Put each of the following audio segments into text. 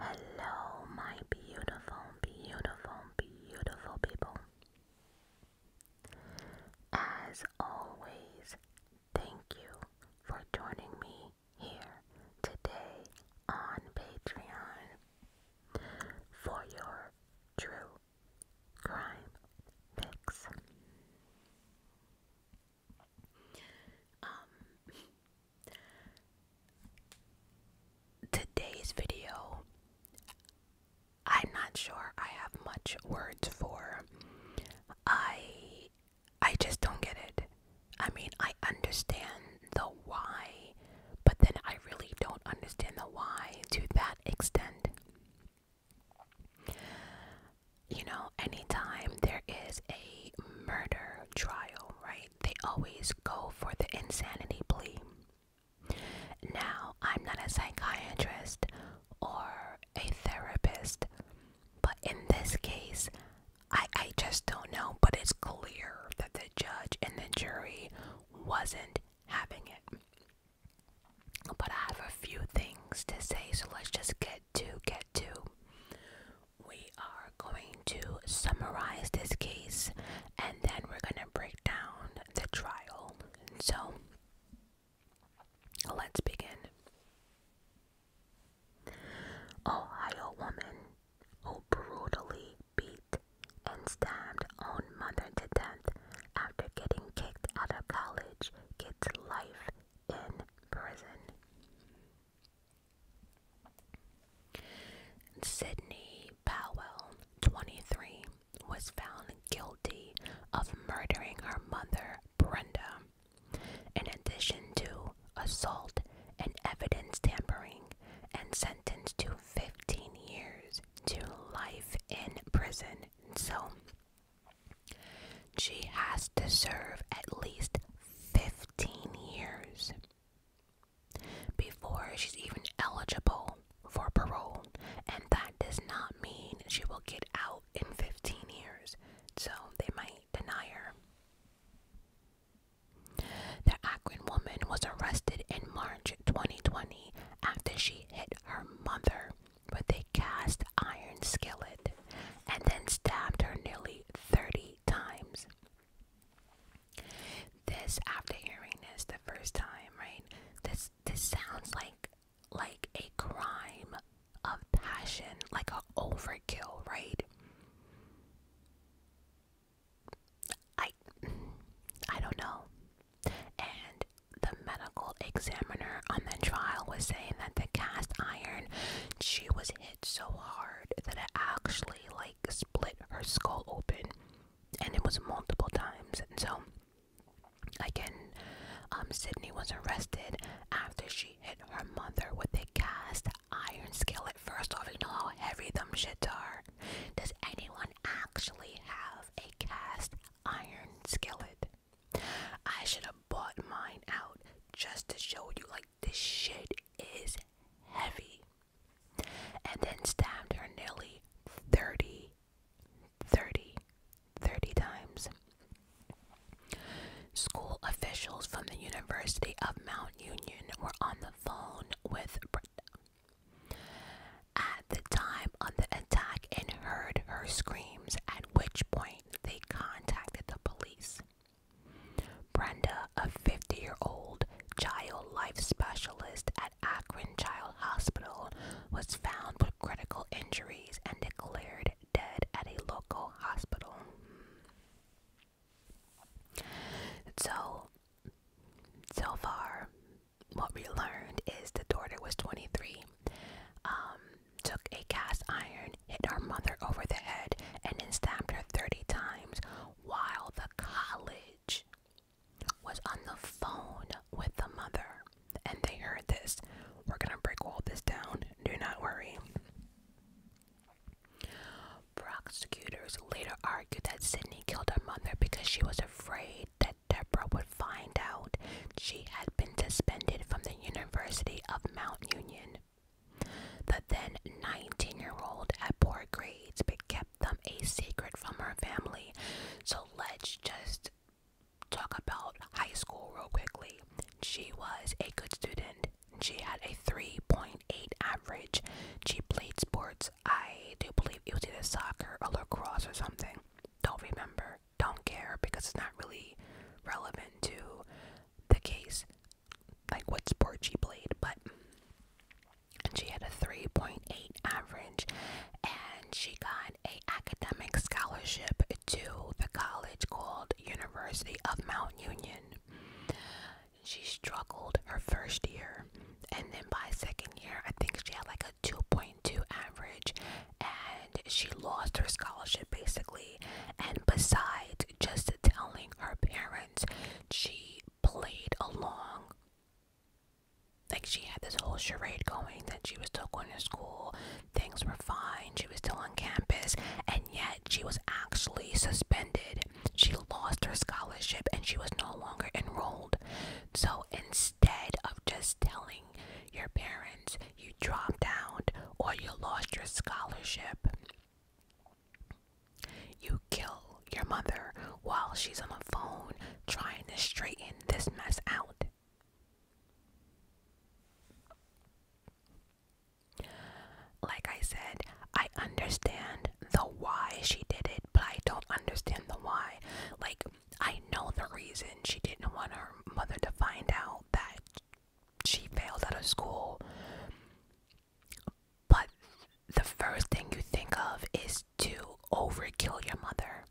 Hello, my beautiful, beautiful, beautiful people. As always, thank you for joining me here today on Patreon for your true crime fix. Um, today's video, I'm not sure I have much words for. I I just don't get it. I mean, I understand the why, but then I really don't understand the why to that extent you know, anytime there is a murder trial, right, they always go for the insanity plea. Now, I'm not a psychiatrist or a therapist, but in this case, I, I just don't know, but it's clear that the judge and the jury wasn't having it. But I have a few things to say, so let's just get to get to we are going to summarize this case and then we're going to break down the trial. So, let's begin. Ohio woman who brutally beat and stabbed own mother to death after getting kicked out of college gets life in prison. Sydney Powell, 23, was found guilty of murdering her mother, Brenda, in addition to assault and evidence tampering, and sentenced to 15 years to life in prison. So she has to serve at least 15 15 years before she's even eligible for parole, and that does not mean she will get out in 15 years, so they might deny her. The Akron woman was arrested in March 2020 after she hit her mother with a cast iron skillet and then stabbed her nearly 30 times. This after hearing this the first time, right? This this sounds like like a crime of passion, like a overkill, right? I I don't know. And the medical examiner on the trial was saying that the cast iron she was hit so hard that it actually like split her skull open and it was multiple times and so again um sydney was arrested after she hit her mother with a cast iron skillet first off you know how heavy them shits are does anyone actually have a cast iron skillet i should have bought mine out just to show you like this shit is heavy. And then stabbed her nearly 30, 30, times. School officials from the University of Mount Union were on the phone with Brenda at the time of the attack and heard her screams, at which point they contacted the police. Brenda, a 50 year old child life specialist at Akron Child Hospital, was found with critical injuries and declared dead at a local hospital. So, so far, what we learned is the daughter was 23, um, took a cast iron hit her mother over the head, and then stabbed her 30 times while the college was on the phone with the mother. And they heard this. We're gonna break all this down, do not worry. Prosecutors later argued that Sydney killed her mother because she was afraid that Debra would find out she had been suspended from the University of Mount Union the then 19 year old had poor grades but kept them a secret from her family. So let's just talk about high school real quickly. She was a good student. She had a 3.8 average. She played sports. I do believe she was either soccer or lacrosse or something. Don't remember. Don't care because it's not really relevant to the case like what sport she played, but she had a 3.8 average and she got a academic scholarship to the college called University of Mount Union. She struggled her first year and then by second year I think she had like a 2.2 average and she lost her scholarship basically and besides just telling her parents. She played along. Like she had this whole charade going that she was still going to school, things were fine, she was still on campus, and yet she was actually suspended. She lost her scholarship and she was no longer enrolled. So instead of just telling your parents you dropped out or you lost your scholarship, you kill your mother while she's on the phone trying to straighten this mess out. Like I said, I understand the why she did it, but I don't understand the why. Like, I know the reason she didn't want her mother to find out that she failed out of school. But the first thing you think of is to overkill your mother.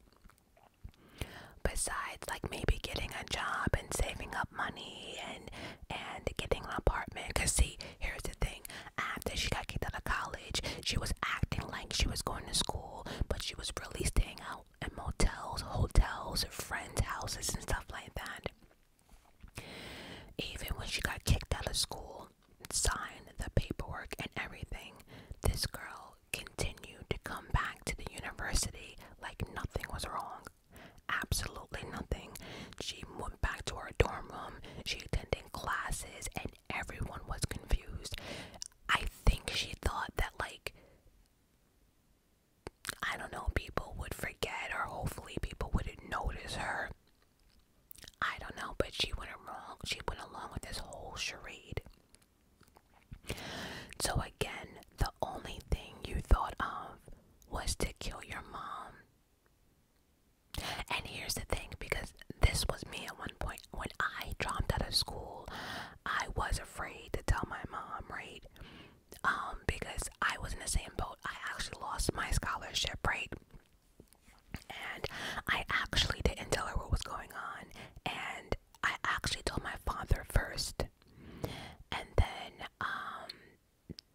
Besides, like maybe getting a job and saving up money and and getting an apartment. Cause see, here's the thing: after she got kicked out of college, she was acting like she was going to school, but she was really staying out in motels, hotels, friends' houses, and stuff like that. Even when she got kicked out of school, signed the paperwork and everything, this girl continued to come back to the university like nothing was wrong. Absolutely nothing. She went back to her dorm room, she attended classes, and everyone was confused. I think she thought that, like, I don't know, people would forget, or hopefully people wouldn't notice her. I don't know, but she went along. She went along with this whole charade. So again, the only thing you thought of was to kill your mom. And here's the thing, because this was me at one point. When I dropped out of school, I was afraid to tell my mom, right? Um, because I was in the same boat. I actually lost my scholarship, right? And I actually didn't tell her what was going on. And I actually told my father first. And then, um,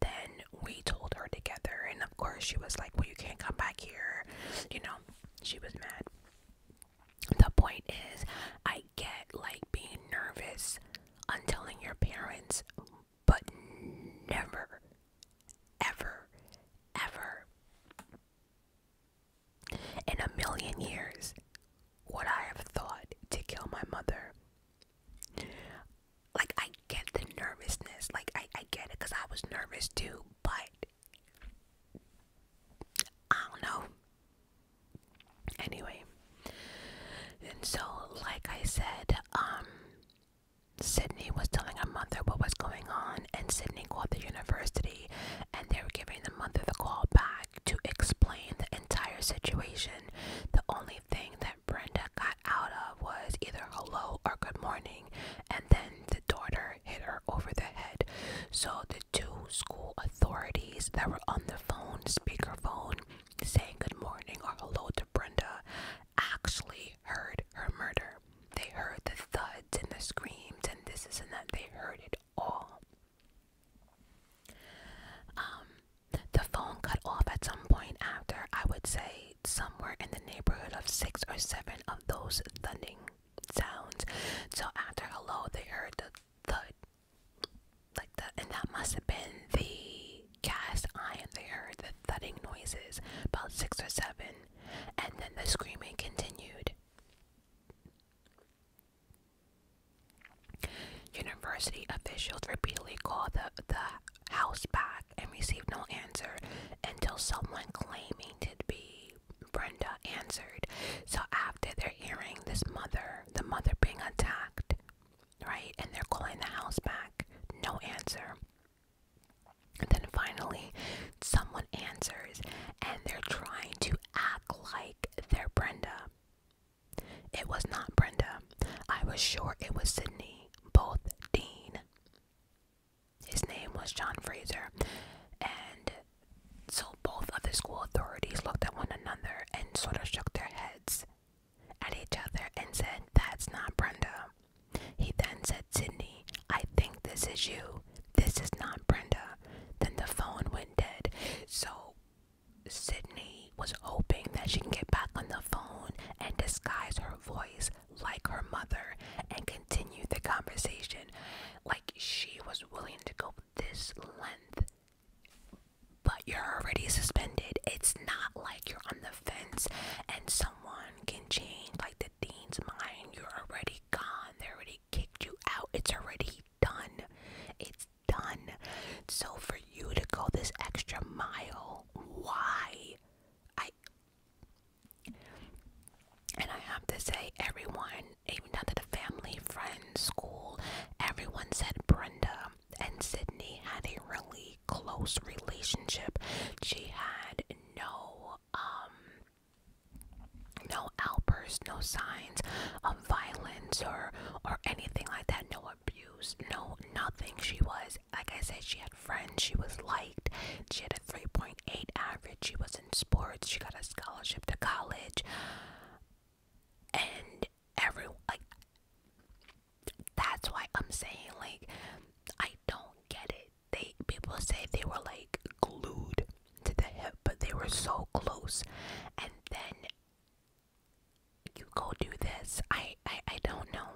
then we told her together. And of course, she was like, well, you can't come back here. You know, she was mad. The point is, I get like being nervous on telling your parents but never, ever, ever in a million years would I have thought to kill my mother. Like, I get the nervousness, like, I, I get it because I was nervous too, but I don't know. Anyway, and so, like I said, um, Sydney was telling her mother what was going on, and Sydney called the university, and they were giving the mother the call back to explain the entire situation. The only thing that Brenda got out of was either hello or good morning, and then the daughter hit her over the head. So the two school authorities that were on the phone, speakerphone, saying good morning or hello Brenda actually heard her murder. They heard the thuds and the screams and this, this, and that. They heard it all. Um, the phone cut off at some point after, I would say, somewhere in the neighborhood of six or seven of those thudding sounds. So after hello, they heard the thud like that, and that must have been the cast iron, they heard the thudding noises, about six or seven, and then the screaming continued. University officials repeatedly called the, the house back and received no answer until someone claiming to be Brenda answered. So after they're hearing this mother, the mother being attacked, right, and they're calling the house back, no answer. And then finally, someone answers and they're trying to act like they're Brenda. It was not Brenda. I was sure it was Sydney, both Dean. His name was John Fraser. And so both of the school authorities looked at one another and sort of shook their heads at each other and said, That's not Brenda. He then said, Sydney, I think this is you. This is not Brenda. Then the phone went dead. So Sydney was hoping that she can get back on the phone and disguise her voice like her mother and continue the conversation. Like she was willing to go this length. But you're already suspended. It's not like you're on the fence. And so someone can change like the dean's mind. You're already gone. They already kicked you out. It's already done. It's done. So for you to go this extra mile, why? I and I have to say everyone, even down to the family, friends, school, everyone said Brenda and Sydney had a really close relationship. She had no um no outbursts, no signs of violence or or anything like that. No abuse, no nothing. She was like I said, she had friends, she was liked, she had a 3.8 average, she was in sports, she got a scholarship to college and every like that's why I'm saying like I don't get it. They people say they were like glued to the hip, but they were so close, and then you go do this. I I, I don't know.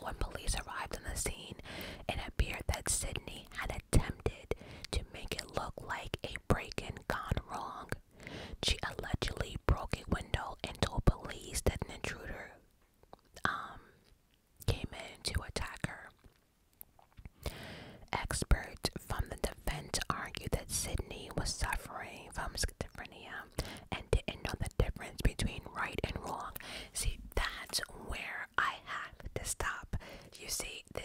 When police arrived on the scene, it appeared that Sydney had attempted to make it look like a break-in gone wrong. She allegedly broke a window and told police that an intruder um, came in to attack her. Experts from the defense argued that Sydney was suffering from schizophrenia and didn't know the difference between right and wrong. See, that's where I have to stop. You see, the,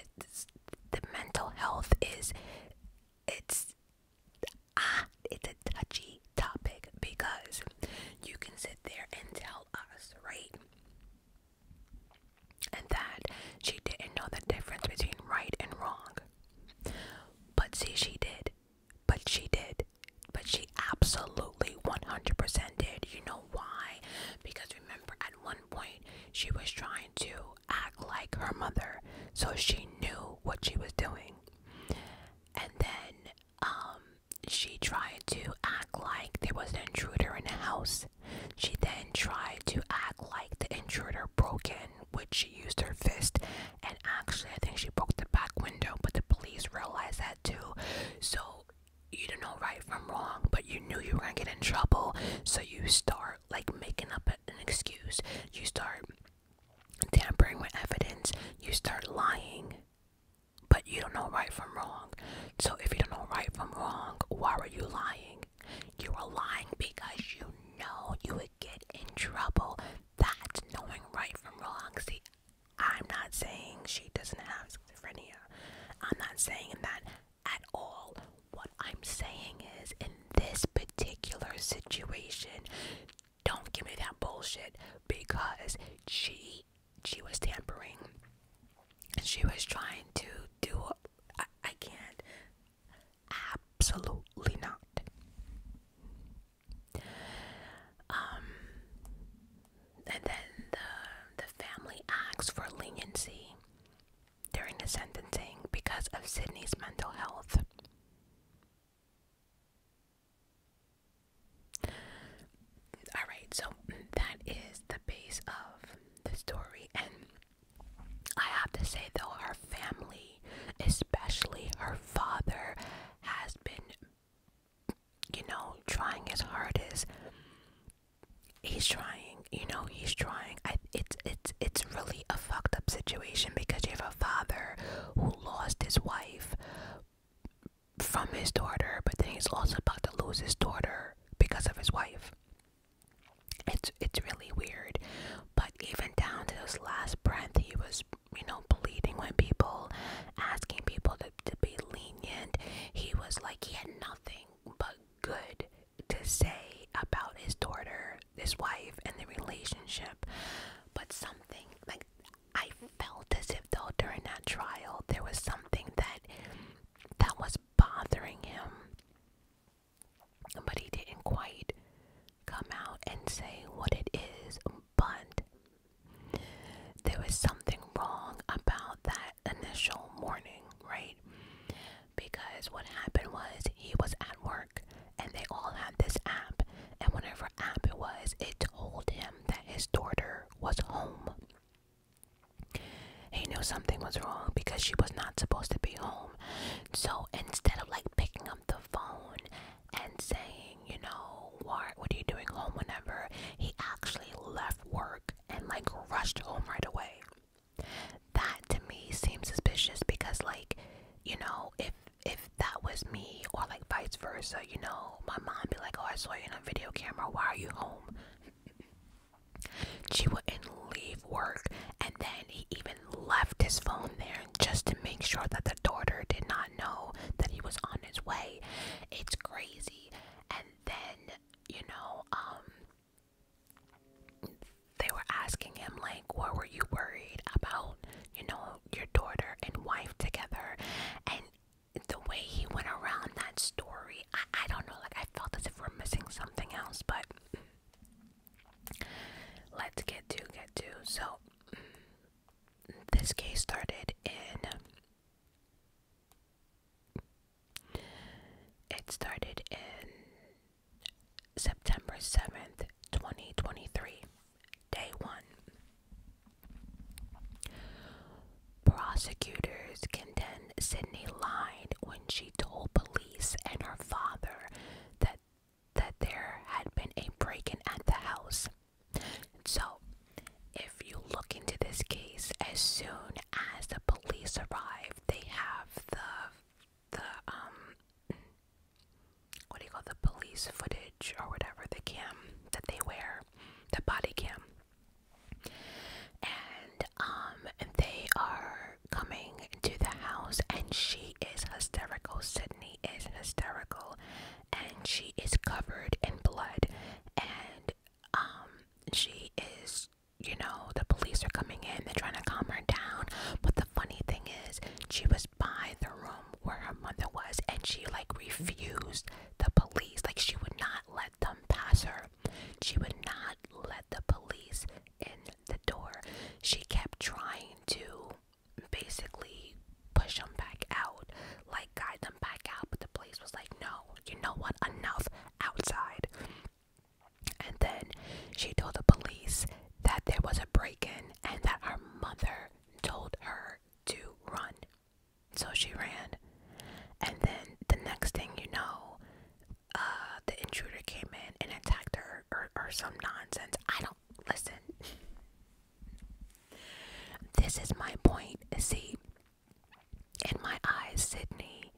the mental health is it's ah, it's a touchy topic because you can sit there and tell us, right? And that she didn't know the difference between right and wrong. But see, she did. But she did. But she absolutely 100% did. You know why? Because remember, at one point, she was trying to act like her mother. So she knew what she was doing. And then um, she tried to act like there was an intruder in the house. She then tried to act like the intruder broke in, which she used her fist, and actually, I think she broke the back window, but the police realized that too. So, you don't know right from wrong, but you knew you were gonna get in trouble, so you start like making up an excuse. You start tampering with evidence, you start lying, but you don't know right from wrong. So, if you don't know right from wrong, why are you lying? You are lying because you know you would get in trouble. That's knowing right from wrong. See, I'm not saying she doesn't have schizophrenia, I'm not saying that at all. What I'm saying is, in this particular situation, don't give me that bullshit because she she was tampering and she was trying to do I, I can't absolutely not. Um and then the the family asks for leniency during the sentencing because of Sydney's mental health. Alright, so that is the base of the story, and I have to say, though, our family, especially our father, has been, you know, trying his hardest. He's trying, you know, he's trying. I, it's it's it's really a fucked up situation because you have a father who lost his wife from his daughter, but then he's also about to lose his daughter because of his wife. It's it's really weird, but even down to his last breath, he was you know pleading with people, asking people to to be lenient. He was like he had nothing but good to say about his daughter, his wife, and the relationship. But something like I felt as if though during that trial there was something that that was bothering him. But he didn't quite come out and say what it is, but there was something wrong about that initial morning, right? Because what happened was he was at work and they all had this app, and whatever app it was, it told him that his daughter was home. He knew something was wrong because she was not supposed to be home. So instead of like picking up the phone and saying, you know, what, what are you doing home whenever, he actually left work and like rushed home right away. That to me seems suspicious because, like, you know, if if that was me or like vice versa, you know, my mom be like, "Oh, I saw you in a video camera. Why are you home?" she wouldn't leave work, and then he even left his phone there just to make sure that the daughter did not know that he was on his way. It's crazy. And then, you know, um they were asking him like, "What were you worried about?" You know, your daughter and wife together. And the way he went around that story, I, I don't know, like I felt as if we're missing something else, but let's get to get to. So this case started in it started in September 7th, 2023. Day 1 Prosecutors condemned Sydney lied when she told police and her father that that there had been a break-in at the house. So, if you look into this case, as soon as the police arrive, they have the the um what do you call the police footage or whatever, the cam that they wear, the body cam. And um they are coming into the house and she is hysterical. Sydney is hysterical and she is covered in blood and um she is you know, the police are coming in, they're trying to calm her down. But the funny thing is, she was by the room where her mother was, and she like refused the police. Like she would not let them pass her. She would not let the police in the door. She kept trying to basically push them back out, like guide them back out, but the police was like, no, you know what, enough outside. And then she told the police that there was a break in and that her mother told her to run. So she ran. And then the next thing you know, uh, the intruder came in and attacked her or, or some nonsense. I don't listen. This is my point. See, in my eyes, Sydney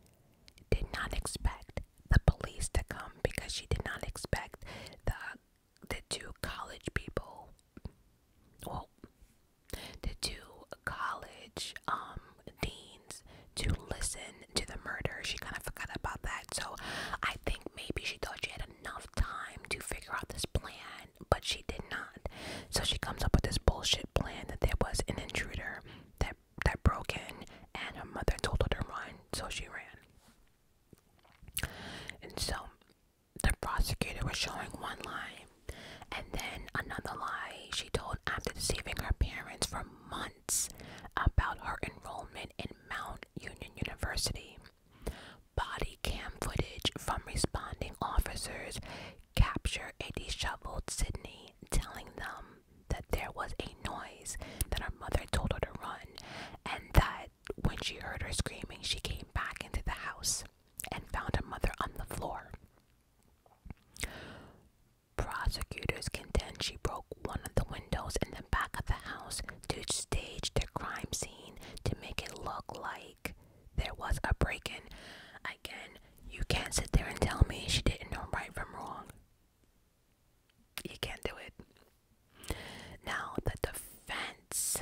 did not expect the police to come because she did not expect the the two college people well the two college um deans to listen to the murder she kind of forgot about that so i think maybe she thought she had enough time to figure out this plan but she did not so she comes up with this bullshit plan that there was an intruder that that broke in and her mother told her to run so she ran and so the prosecutor was showing one lie and then another lie she told after deceiving her parents for months about her enrollment in Mount Union University. Body cam footage from responding officers capture a disheveled Sydney telling them that there was a noise that her mother told her to run and that when she heard her screaming, she came back into the house and found her mother on the floor. Prosecutors contend she broke one of the windows in the back of the house to stage the crime scene to make it look like there was a break in. Again, you can't sit there and tell me she didn't know right from wrong. You can't do it. Now, the defense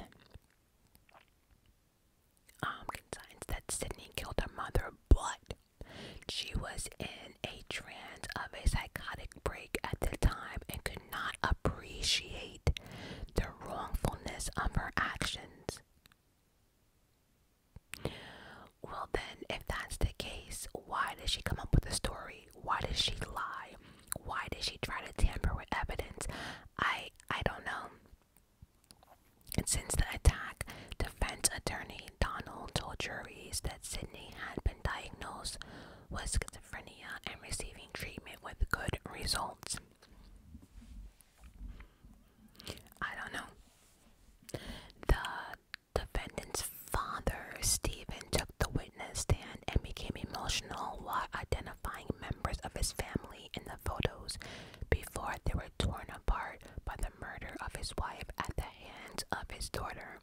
um, consigns that Sydney killed her mother, but she was in a trance of a psychotic break at the time and could not appreciate the wrongfulness of her actions. Well, then, if that's the case, why did she come up with a story? Why did she lie? Why did she try to tamper with evidence? I I don't know. Since the attack, defense attorney Donald told juries that Sydney had been diagnosed with schizophrenia and receiving treatment with good results. I don't know. The defendant's father, Stephen, took the witness stand and became emotional while identifying members of his family in the photos before they were torn apart by the murder of his wife at the hands of his daughter.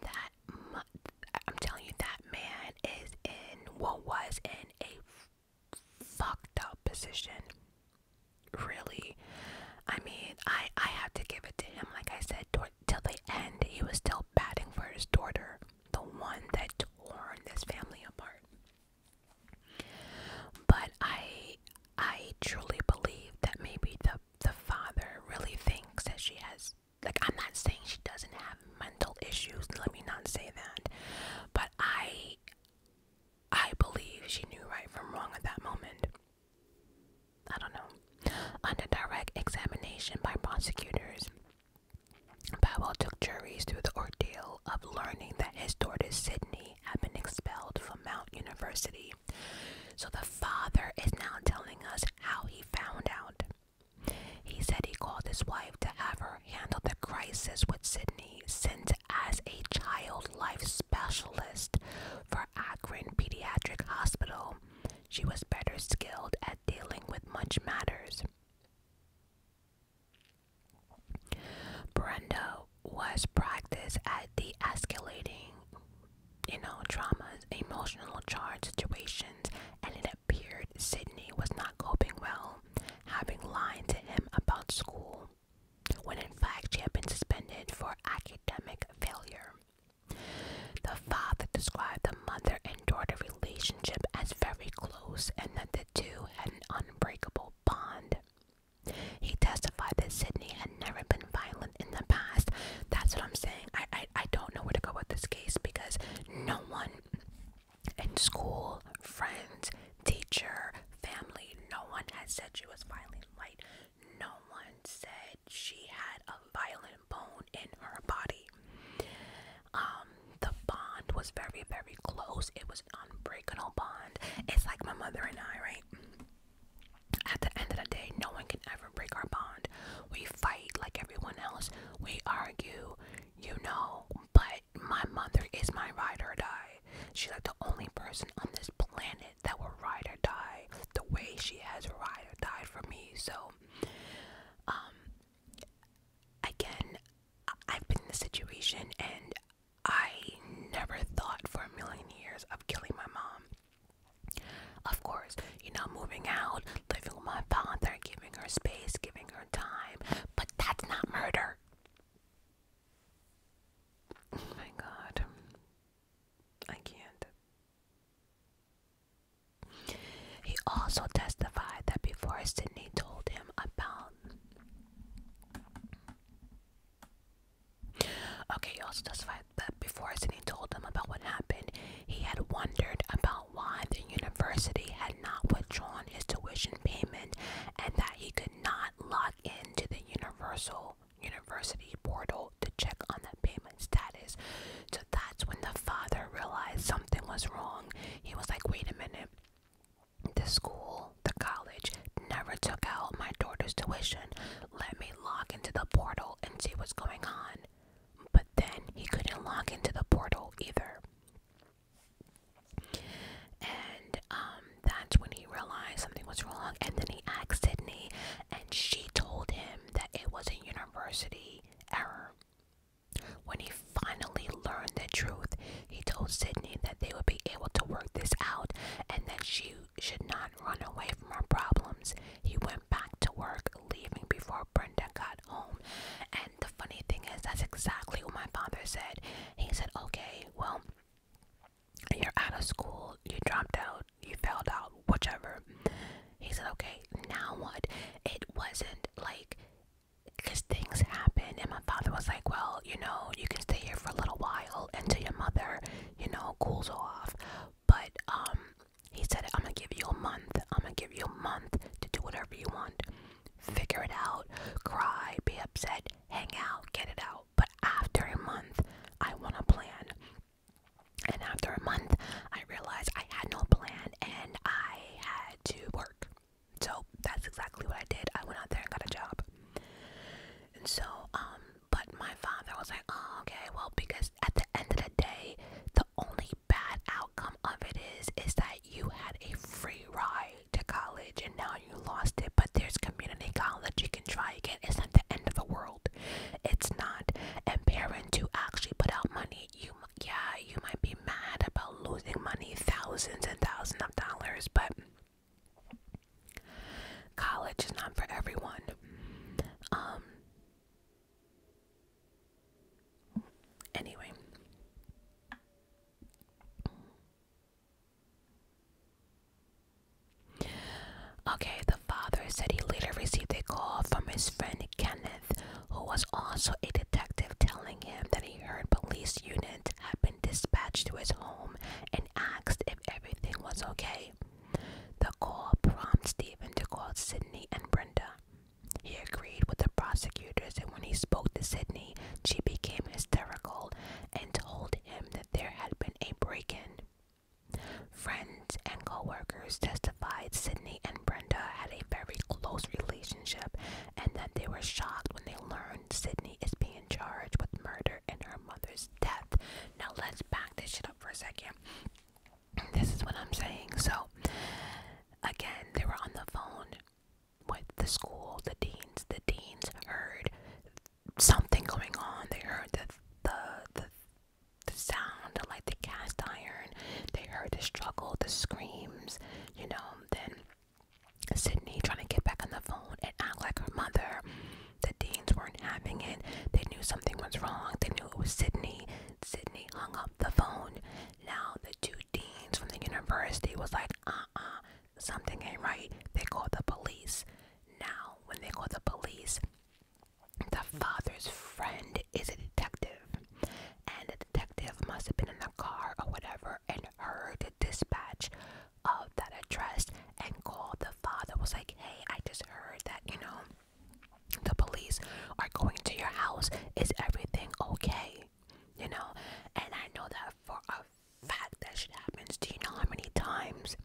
That I'm telling you, that man is in what was in a fucked up position. Really, I mean, I I have to give it to him. Like I said, till the end, he was still batting for his daughter, the one that torn this family apart. But I I truly believe that maybe the the father really thinks that she has like I'm not saying she doesn't have mental issues, let me not say that. But I I believe she knew right from wrong at that moment. I don't know. Under direct examination by prosecutors, Powell took juries through the ordeal of learning that his daughter Sydney had been expelled from Mount University. So the father is now telling us how he found out. He said he called his wife to have her handle the crisis with Sydney, since as a child life specialist for Akron Pediatric Hospital, she was better skilled at dealing with much matters. Brenda was practiced at the escalating, you know, traumas, emotional charge situations, and it appeared Sydney was not coping well, having lied to him about school, when in fact she had been suspended for academic failure. The father described the mother and daughter relationship as very close and that the two had an unbreakable bond. He testified that Sydney had never been violent in the past. That's what I'm saying. I, I, don't know where to go with this case because no one in school, friends, teacher, family, no one had said she was violent. Like, no one said she had a violent bone in her body um the bond was very very close it was an unbreakable bond it's like my mother and i right at the end of the day no one can ever break our bond we fight like everyone else we argue you know but my mother is my ride or die she's like the only person on this planet that will ride or die the way she has ride or died for me so um again I've been in this situation and I never thought for a million years of killing my mom. Of course, you know, moving out, living with my father, giving her space, giving her time, but that's not murder. Oh my god. I can't. He also testified that before Sydney told him about Okay, he also testified that before Sidney told him about what happened, he had wondered about why the university had not withdrawn his tuition payment and that he could not log into the Universal University portal to check on the payment status. So that's when the father realized something was wrong. He was like, wait a minute. The school, the college, never took out my daughter's tuition. Let me log into the portal and see what's going on. But then he couldn't log into the portal either. And um, that's when he realized something was wrong. And then he asked Sydney, and she told him that it was a university error. When he finally learned the truth, he told Sydney that they would be able to work this out and that she should not run away from her problems. He went back to work, leaving before Brenda got home. And the funny thing is, that's exactly what my father said. He said, Okay, well, you're out of school, you dropped out, you failed out, whichever. He said, Okay, now what? It wasn't like because things happen, and my father was like well you know you can stay here for a little while until your mother you know cools off but um he said i'm gonna give you a month i'm gonna give you a month to do whatever you want figure it out cry be upset hang out get it out but after a month i want a plan and after a month i realized i had no plan and i had to work so that's exactly what I did. I went out there and got a job. And so, um, but my father was like, oh, okay, well, because at the end of the day, the only bad outcome of it is, is that you had a free ride to college and now you lost it, but there's community college. You can try again. It's not the end of the world. It's not. And parents who actually put out money, you, yeah, you might be mad about losing money, thousands and thousands of dollars, but college is not for everyone. Um anyway. Okay, the father said he later received a call from his friend Kenneth, who was also a detective, telling him that that he heard police units had been dispatched to his home and asked if everything was okay. The call prompted Stephen to call Sydney and Brenda. He agreed with the prosecutors, and when he spoke to Sydney, she became hysterical and told him that there had been a break in. Friends and coworkers testified Sydney and Brenda had a very close relationship and then they were shocked when they learned Sydney is being charged with murder and her mother's death. Now let's back this shit up for a second. This is what I'm saying. So again, they were on the phone with the school, the deans. The deans heard something going on. They heard the the the the sound like the cast iron. They heard the struggle, the screams, you know, then Sydney trying to get back on the phone and act like her mother. The Deans weren't having it. They knew something was wrong. They knew it was Sydney. Sydney hung up the phone. Now the two deans from the university was like, uh-uh, something ain't right. They called the police. Now when they called the police, the father's friend is a detective. And the detective must have been in the car or whatever and heard to dispatch of that address and called the father was like hey i just heard that you know the police are going to your house is everything okay you know and i know that for a fact that shit happens do you know how many times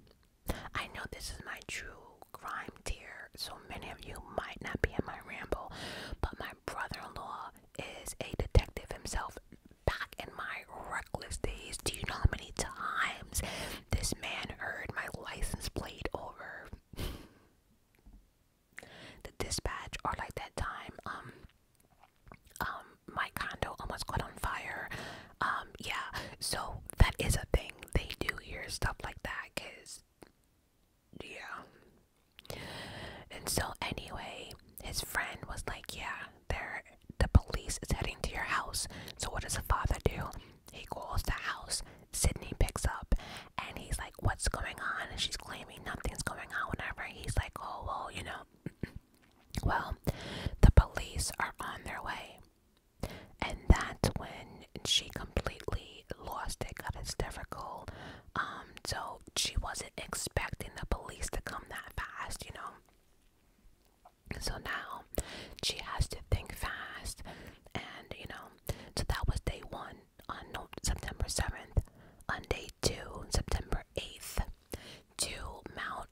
i know this is my true crime tier so many of you might not be in my ramble but my brother-in-law is a detective himself. Back in my reckless days, do you know how many times this man heard my license plate over? the dispatch, or like that time, um, um, my condo almost caught on fire. Um, yeah, so that is a thing. They do hear stuff like that, cause, yeah. And so, anyway, his friend was like, Yeah, there the police is heading to your house. So what does the father do? He calls the house. Sydney picks up and he's like, What's going on? And she's claiming nothing's going on, whatever. He's like, Oh well, you know Well, the police are on their way. And that's when she completely lost it, got hysterical. Um, so she wasn't expecting the police to come that fast, you know. So now she has to think fast, and you know, so that was day one on September 7th, on day two, September 8th. Two Mount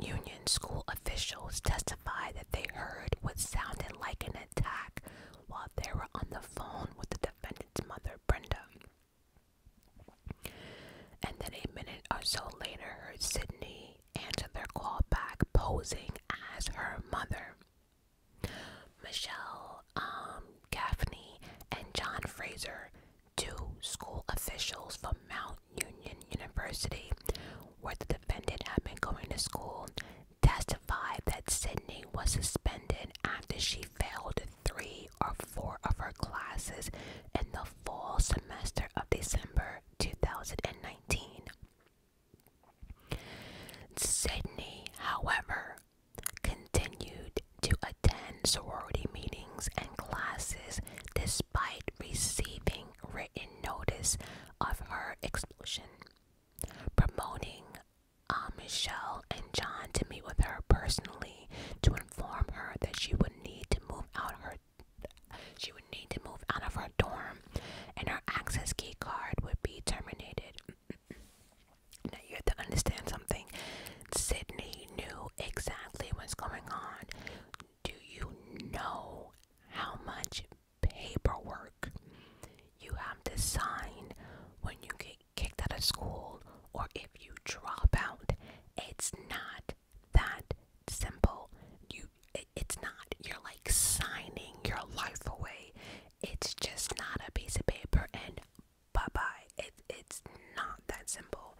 Union School officials testified that they heard what sounded like an attack while they were on the phone with the defendant's mother, Brenda. And then a minute or so later, Sydney answered their call back, posing as her mother. Michelle um, Gaffney and John Fraser, two school officials from Mount Union University, where the defendant had been going to school, testified that Sydney was suspended after she failed three three four of her classes in the fall semester of December 2019. Sydney, however, continued to attend sorority meetings and classes despite receiving written notice of her expulsion, promoting uh, Michelle and John to meet with her personally to informed her that she would need to move out her she would need to move out of her dorm and her access key card would be terminated. now you have to understand something. Sydney knew exactly what's going on. Do you know how much paperwork you have to sign when you get kicked out of school or if you drop out? It's not that simple. You it's not you're like signing your life away. It's just not a piece of paper and bye-bye. It it's not that simple.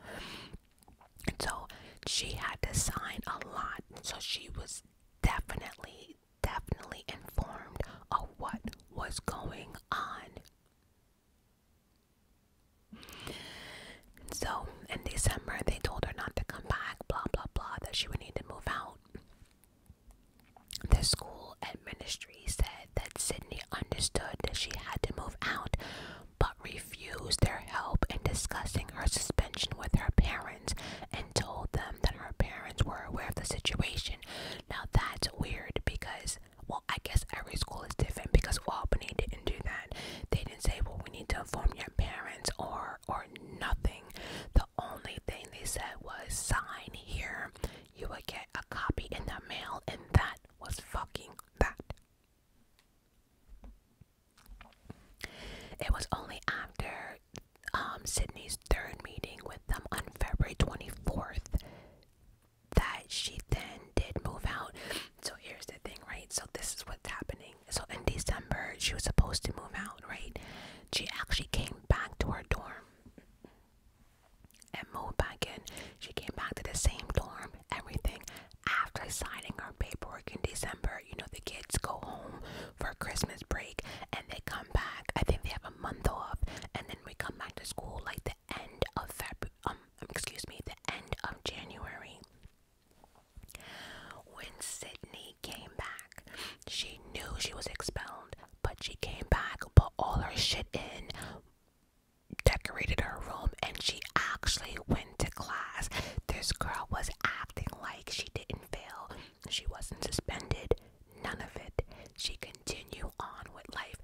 so she had to sign a lot. So she was definitely definitely informed of what was going on. So in December, they told her not to come back, blah, blah, blah, that she would need to move out. The school and ministry said that Sydney understood that she had to move out, but refused their help in discussing her suspension with her parents and told them that her parents were aware of the situation. Now that's weird because well, I guess every school is different because Albany didn't do that. They didn't say, well, we need to inform your parents or or nothing. The only thing they said was sign here. You would get a copy in the mail, and that was fucking that. It was only after um, Sydney's third meeting with them on February 24th that she then did move out. So here's the thing, right? So this is what's happening. So in December, she was supposed to move out, right? She actually came back to her dorm and moved back in. She came back to the same dorm, everything. After signing her paperwork in December, you know, the kids go home for Christmas break and they come back. I think they have a month off, and then we come back to school like the end of February, um, excuse me, the end of January. When Sydney came back, she knew she was expelled, but she came back, put all her shit in, decorated her room, and she actually went to class. This girl was acting like she didn't fail, she wasn't suspended, none of it. She continued on with life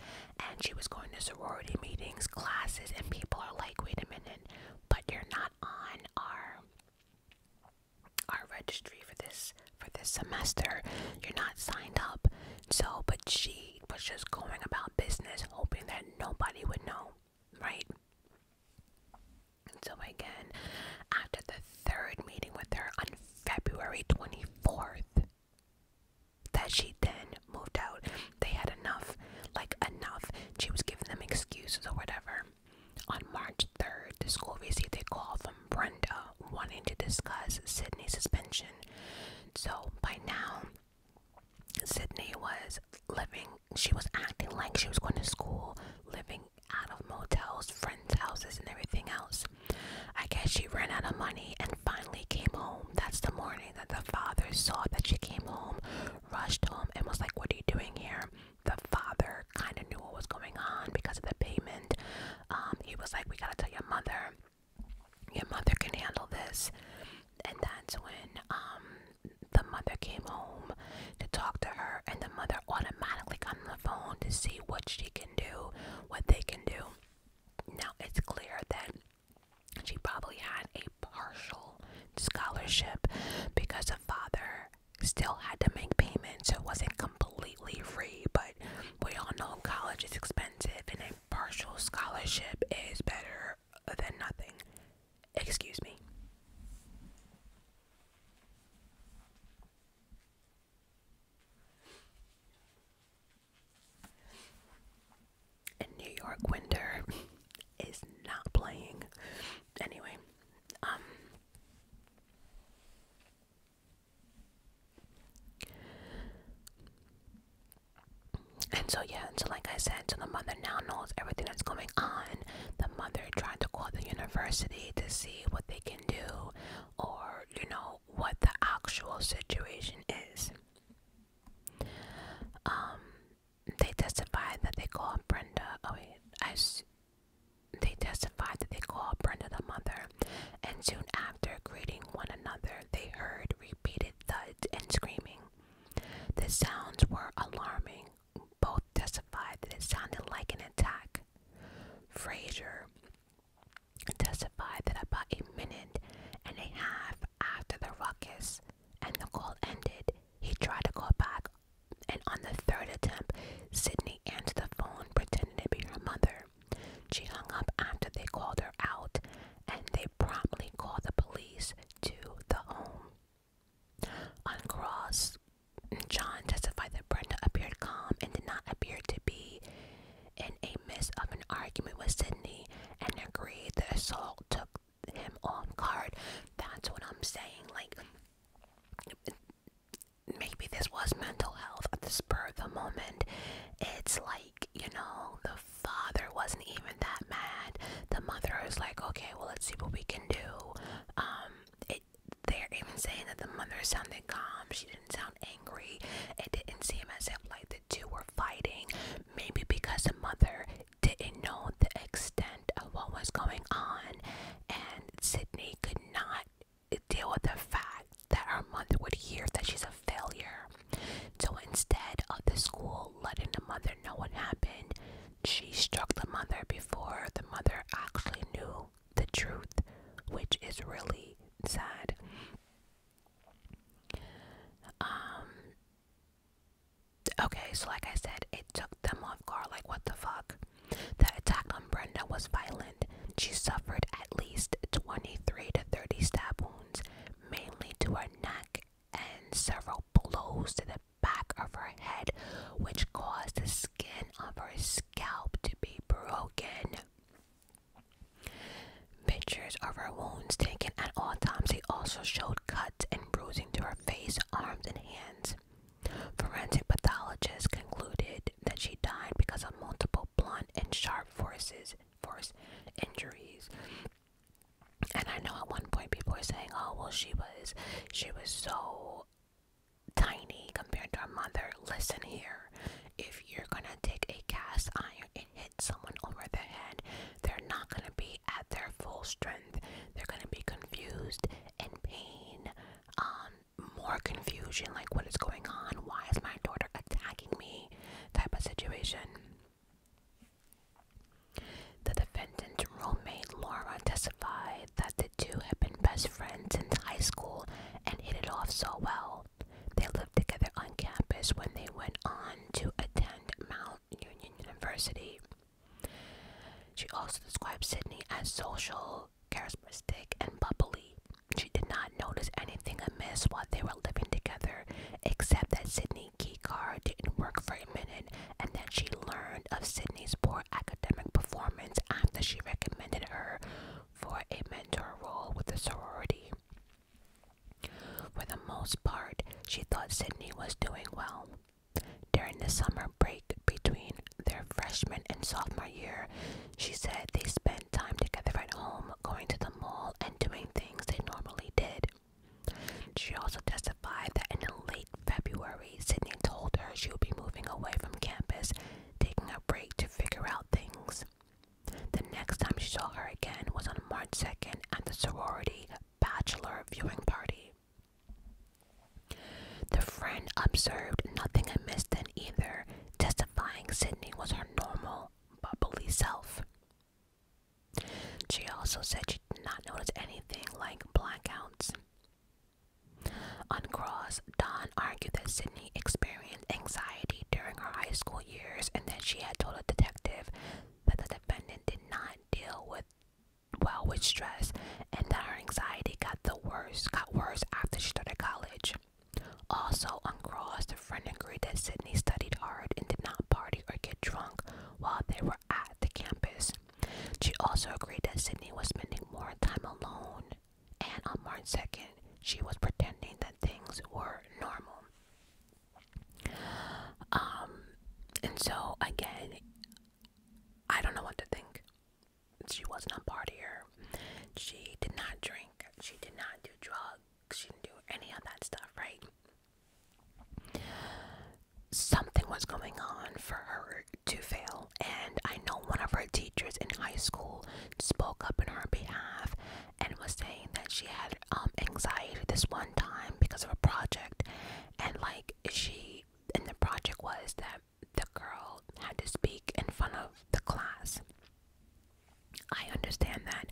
and she was going to sorority meetings, classes, and people are like, wait a minute, but you're not on our our registry for this for this semester. You're not signed up. So but she was just going about business hoping that nobody would know, right? And so again, after the third meeting with her on February 24th, that she then moved out. They had enough, like enough. She was giving them excuses or whatever. On March 3rd, the school received a call from Brenda wanting to discuss Sydney's suspension. So by now, Sydney was living, she was acting like she was going to school, living out of motels, friends' houses, and everything else. I guess she ran out of money and finally came home. That's the morning morning that the father saw that she came home, rushed home, and was like, What are you doing here? The father kind of knew what was going on because of the payment. Um, he was like, We gotta tell your mother. Your mother can handle this. And that's when um, the mother came home to talk to her, and the mother automatically got on the phone to see what she can do, what they can do. Now it's clear that she probably had a partial scholarship because her father still had to make payments, so it wasn't completely free. But we all know college is expensive, and a partial scholarship is better than nothing. Excuse me and New York winter is not playing. Anyway, um, and so yeah, and so like I said, so the mother now knows everything that's going on. The mother tried to call the university to see what they can do or, you know, what the actual situation is. Um they testified that they called Brenda. Oh wait, They testified that they called Brenda the mother, and soon after greeting one another, they heard repeated thuds and screaming. The sounds were alarming. Both testified that it sounded like an attack. Fraser testified that about a minute and a half after the ruckus and the call ended, he tried to call back, and on the third attempt, Sydney answered the phone pretending to be her mother. She hung up after they called her out, and they promptly called the police to the home. On cross, John testified that Brenda appeared calm and did not appear to be in a midst of an argument with Sydney and agreed the assault took him on card. That's what I'm saying. Like, maybe this was mental health at spur the moment. It's like, you know, the father wasn't even that mad. The mother is like, okay, well, let's see what we can do. Um, they're even saying that the mother sounded calm. She didn't sound angry. It didn't seem as if like the two were fighting. Maybe because the mother didn't know the extent of what was going on, and Sydney could not deal with the fact that her mother would hear that she's a failure. So instead of the school letting the mother know what happened, she struck the mother before the mother actually knew the truth, which is really sad. Um, Okay, so like I said, it took them off guard. Like, what the fuck? The attack on Brenda was violent. She suffered at least 23 to 30 stab wounds, mainly to her neck and several blows to the back of her head, which caused the skin of her scalp to be broken. Pictures of her wounds taken at all times, they also showed cuts and bruising to her face, arms, and hands. Forensic pathologists concluded that she died because of multiple blunt and sharp forces, force injuries. And I know at one point people were saying, "Oh, well, she was, she was so tiny compared to her mother." Listen here, if you're gonna take a cast iron and hit someone over the head, they're not going to be at their full strength. They're going to be confused and pain, um, more confusion, like what is going on? Why is my daughter attacking me? Type of situation. The defendant's roommate Laura testified that the two had been best friends since high school and hit it off so well. They lived together on campus when they went on to attend Mount Union University. She also described Sydney as social, charismatic, and bubbly. She did not notice anything amiss while they were living together, except that Sydney's key card didn't work for a minute and that she learned of Sydney's poor academic performance after she recommended her for a mentor role with the sorority. For the most part, she thought Sydney was doing well. During the summer break between their freshman and sophomore year, she said they spent time together at home, going to the mall, and doing things they normally did. She also testified that in late February, Sydney told her she would be moving away from campus, taking a break to figure out things. The next time she saw her again was on March 2nd at the sorority bachelor viewing party. The friend observed nothing amiss then either, testifying Sydney was her normal, bubbly self. She also said she did not notice anything like blackouts. On cross, Don argued that Sydney experienced anxiety during her high school years and that she had told a detective that the defendant did not deal with well with stress and that her anxiety got the worst, got worse after she started college. Also on Cross, the friend agreed that Sydney studied hard and did not party or get drunk while they were at the campus. She also agreed that Sydney was spending more time alone and on March 2nd she was pretending that things were normal. Um, and so again, I don't know what to think. She wasn't a partier. She did not drink. She did not do drugs. She didn't do any of that stuff, right? Something was going on for her to fail. And I know one of her teachers in high school spoke up in her behalf and was saying that she had um, anxiety this one time because of a project and like she and the project was that the girl had to speak in front of the class. I understand that.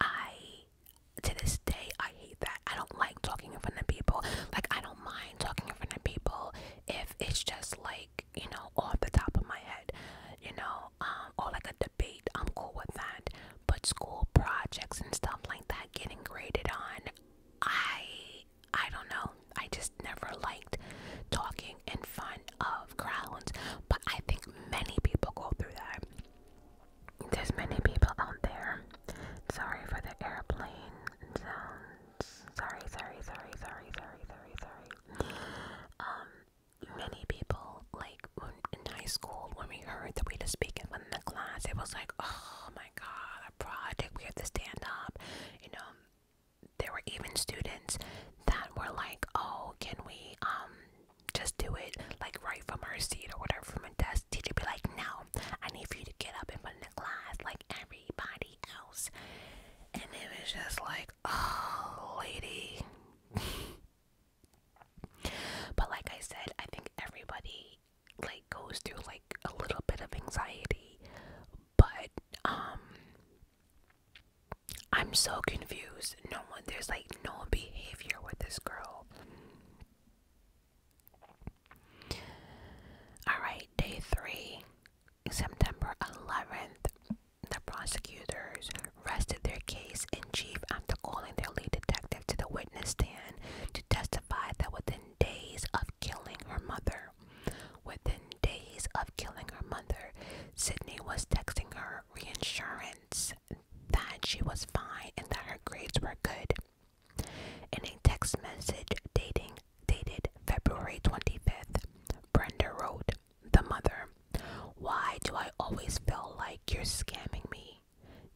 I to this day I hate that. I don't like talking in front of people. Like I don't mind talking in front of people if it's just like, you know, off the top of my head, you know, um, or like a debate, I'm cool with that but school projects and stuff like that getting graded on i i don't know i just never liked talking in front of crowds but i think many people go through that there's many people out there sorry for the airplane sounds sorry sorry sorry sorry sorry sorry sorry um many people like in high school when we heard that we were speaking in front of the class it was like oh my god, a project, we have to stand up. You know, there were even students that were like, oh, can we um, just do it like right from our seat or whatever from a desk? Teacher be like, no, I need for you to get up in front of the class like everybody else. And it was just like, oh, lady. but like I said, I think everybody like goes through like a little bit of anxiety, but um I'm so confused. No one there's like no behavior with this girl. Alright, day three, September 11th. The prosecutors rested their case in chief after calling their lead detective to the witness stand to testify that within days of killing her mother, within days of killing her mother, Sydney was texting her reinsurance that she was fine and that her grades were good. In a text message dating dated February 25th, Brenda wrote, The mother, why do I always feel like you're scamming me?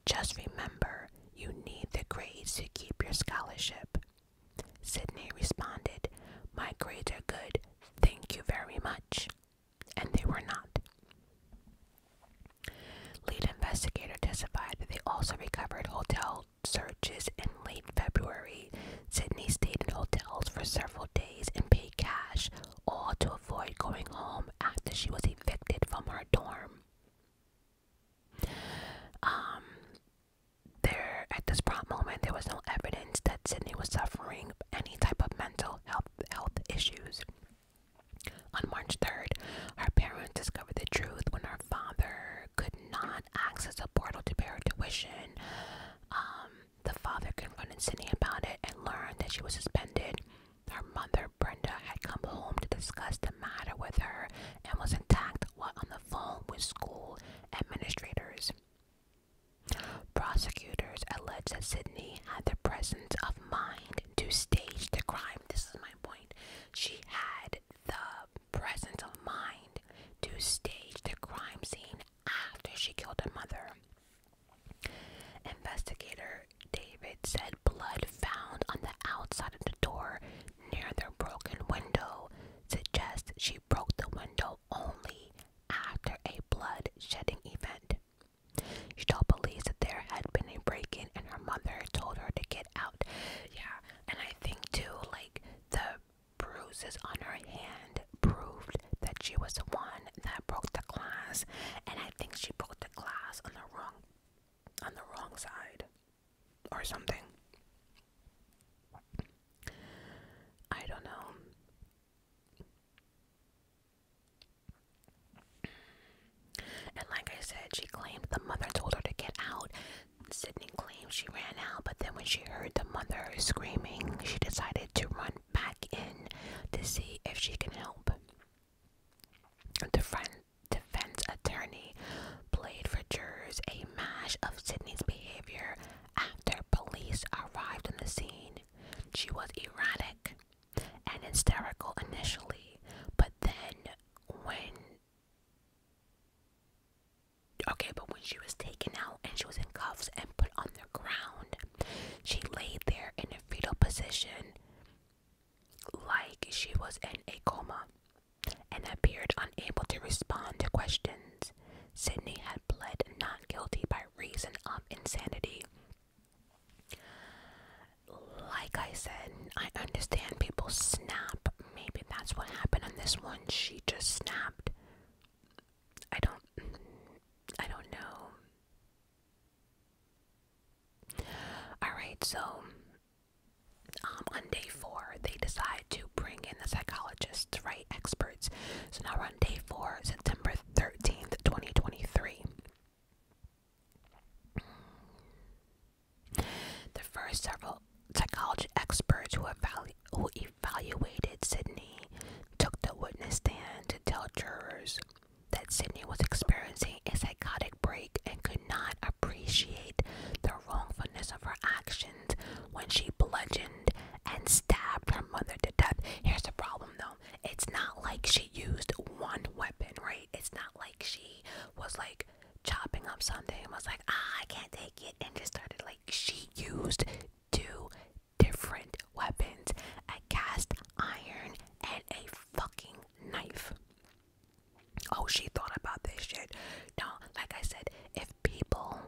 Just remember, you need the grades to keep your scholarship. Sydney responded, My grades are good, thank you very much. And they were not. Lead investigator testified that they also recovered hotel searches in late February. Sydney stayed in hotels for several days and paid cash, all to avoid going home after she was evicted from her dorm. Um, there at this prompt moment, there was no evidence that Sydney was suffering any type of mental health health issues. On March 3rd, her parents discovered the truth when her father could not access a portal to pay her tuition. Um, the father confronted Sydney about it and learned that she was suspended her mother, Brenda, had come home to discuss the matter with her and was intact while on the phone with school administrators. Prosecutors allege that Sydney had the presence of mind to stage the crime. This is my point. She had the presence of mind to stage the crime scene after she killed her mother. Investigator David said blood found on the outside of the door near their broken window suggests she broke the window only after a bloodshedding event. She told police that there had been a break in and her mother told her to get out. Yeah, and I think too, like, the bruises on her hand proved that she was the one that broke the glass, and I think she broke the glass on the wrong on the wrong side or something. I don't know. And like I said, she claimed the mother told her to get out. Sydney claimed she ran out, but then when she heard the mother screaming, she decided to run back in to see if she can help. The friend defense attorney played for jurors a mash of Sydney's behavior after police arrived on the scene. She was erratic and hysterical initially, but then when Okay, but when she was taken out and she was in cuffs and put on the ground, she laid there in a fetal position like she was in a coma and appeared unable to respond to questions. Sydney had pled not guilty by reason of insanity. Like I said, I understand people snap. Maybe that's what happened on this one. She just snapped. I don't I don't know. All right, so um, on day four, they decide to bring in the psychologists, right? Experts. So now we're on day four, September 13th, 2023. The first several psychology experts who, evalu who evaluated Sydney took the witness stand to tell jurors that Sydney was experiencing a psychotic heartbreak and could not appreciate the wrongfulness of her actions when she bludgeoned and stabbed her mother to death. Here's the problem though it's not like she used one weapon, right? It's not like she was like chopping up something and was like, ah, I can't take it, and just started like, she used two different weapons a cast iron and a fucking knife. Oh, she thought about this shit. No, like I said, if people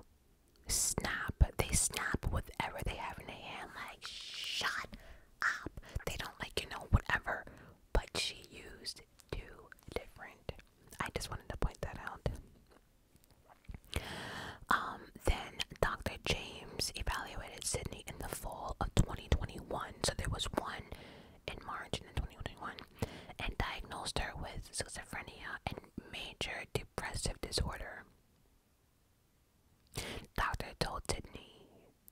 snap, they snap whatever they have in their hand, like, shut up. They don't, like, you know, whatever. But she used two different. I just wanted to point that out. Um, then Dr. James evaluated Sydney in the fall of 2021. So there was one in March in 2021 and diagnosed her with schizophrenia and major depressive disorder. Doctor told Sydney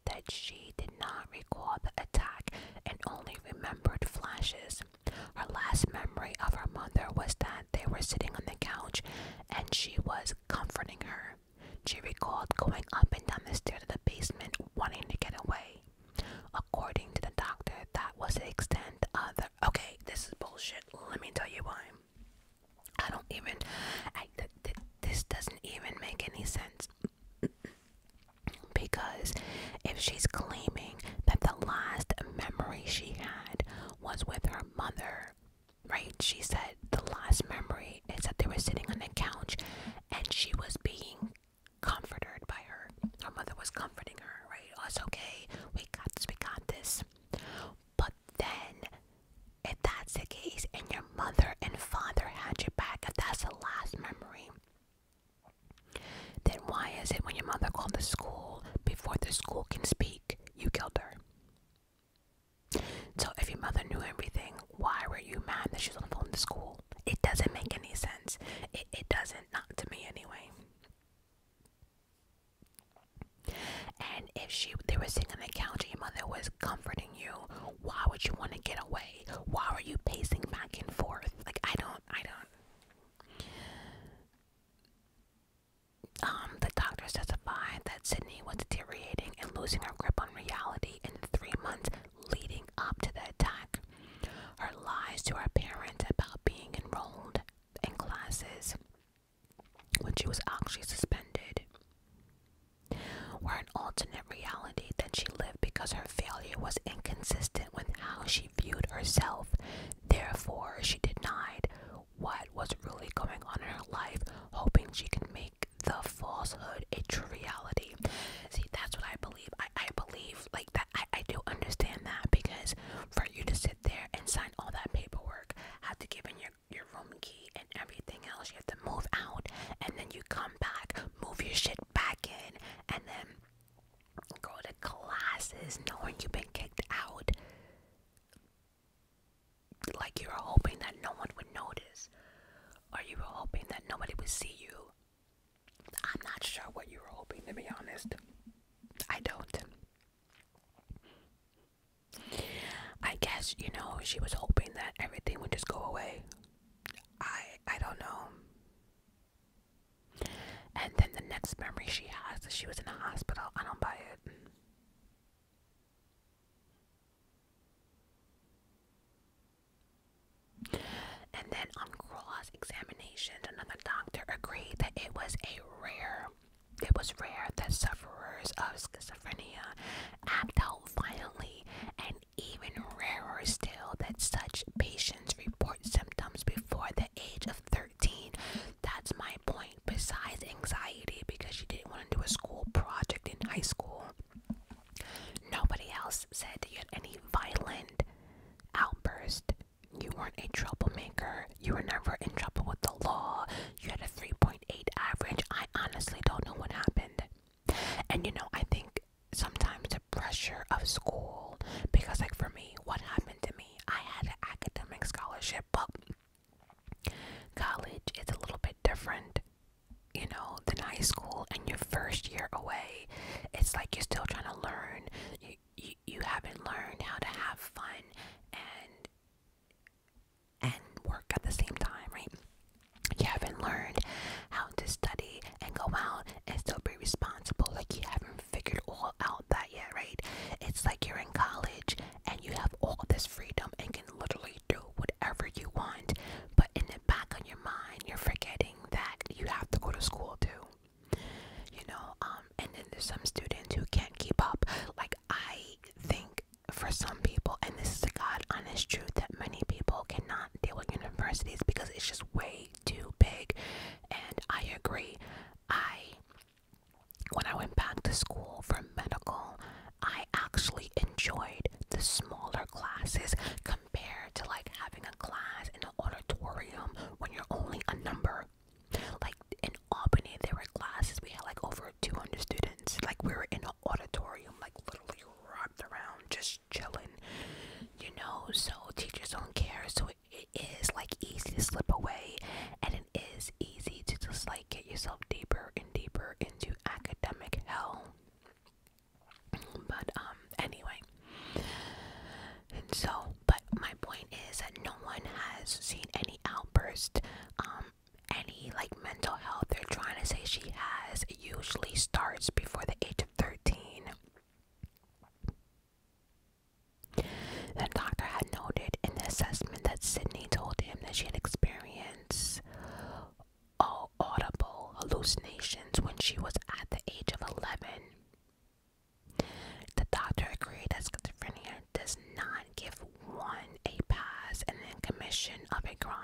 that she did not recall the attack and only remembered flashes. Her last memory of her mother was that they were sitting on the couch and she was comforting her. She recalled going up and down the stairs in the basement wanting to get away. According to the doctor, that was the extent of the. Okay, this is bullshit. Let me tell you why. I don't even. this doesn't even make any sense. because if she's claiming that the last memory she had was with her mother, right? She said the last memory is that they were sitting on the couch and she was being comforted by her. Her mother was comforting her, right? Oh, it's okay. We got this. We got this. But then, if that's the case, and your mother and father had you back, if that's the last memory, then why is it when your mother called the school before the school can speak, you killed her? So if your mother knew everything, why were you mad that she was on the phone to school? It doesn't make any sense. It, it doesn't, not to me anyway. And if she they were sitting on the couch and your mother was comforting you, why would you want to get away? Why were you pacing back and forth? Like I don't I don't Um, the doctors testified that Sydney was deteriorating and losing her grip on reality in three months leading up to the attack, her lies to her parents about being enrolled in classes when she was actually suspended were an alternate reality that she lived because her failure was inconsistent with how she viewed herself. Therefore, she denied what was really going on in her life, hoping she could make the falsehood a true reality. See, that's what I believe I, I believe like that I, I do understand that because for you to sit there and sign all that paperwork, have to give in your your room key and everything else, you have to move out and then you come back, move your shit back in and then go to classes knowing you've been kicked out like you were hoping that no one would notice or you were hoping that nobody would see you I'm not sure what you were hoping, to be honest. I don't. I guess, you know, she was hoping that everything would just go away. I I don't know. And then the next memory she has is she was in a hospital. I don't buy it. And then on cross examination, another doctor agreed that it was a rare, it was rare that sufferers of schizophrenia act out violently, and even rarer still that such patients report symptoms before the age of 13. That's my point. Besides anxiety, because she didn't want to do a school project in high school, nobody else said that you had any violent outburst. You weren't a troublemaker. You were never in trouble with the law. You had a 3.8 average. I honestly don't know what happened. And you know, I think sometimes the pressure of school, because, like, for me, what happened to me? I had an academic scholarship, but college is a little bit different, you know, than high school, and your first year away it's like you're still trying to learn. You, you, you haven't learned how to have fun and and work at the same time, right? You haven't learned how to study and go out and still be responsible. Like you haven't figured all out that yet, right? It's like you're in college and you have all this freedom and can literally do whatever you want, but in the back of your mind, you're forgetting deciding that you have to go to school too. You know, um, and then there's some students who can't keep up. Like I think for some people, and this is the god honest truth that many people cannot deal with universities because it's just way too big. And I agree. I when I went back to school for medical, I actually enjoyed the smaller classes. Com compared to like having a class in an auditorium when you're only a number. Like in Albany, there were classes we had like over 200 students. Like we were in an auditorium, like literally wrapped around, just chilling, you know. So teachers don't care. So it is like easy to slip away, and it is easy to just like get yourself deeper and deeper into academic hell. But um anyway. And so but my point is that no one has seen any outburst, um, any like mental health they're trying to say she has. It usually starts before the age of thirteen. The doctor had noted in the assessment that Sydney told him that she had experienced all audible hallucinations when she was at the age of 11. The doctor agreed that schizophrenia does not give one a pass and then commission of a crime.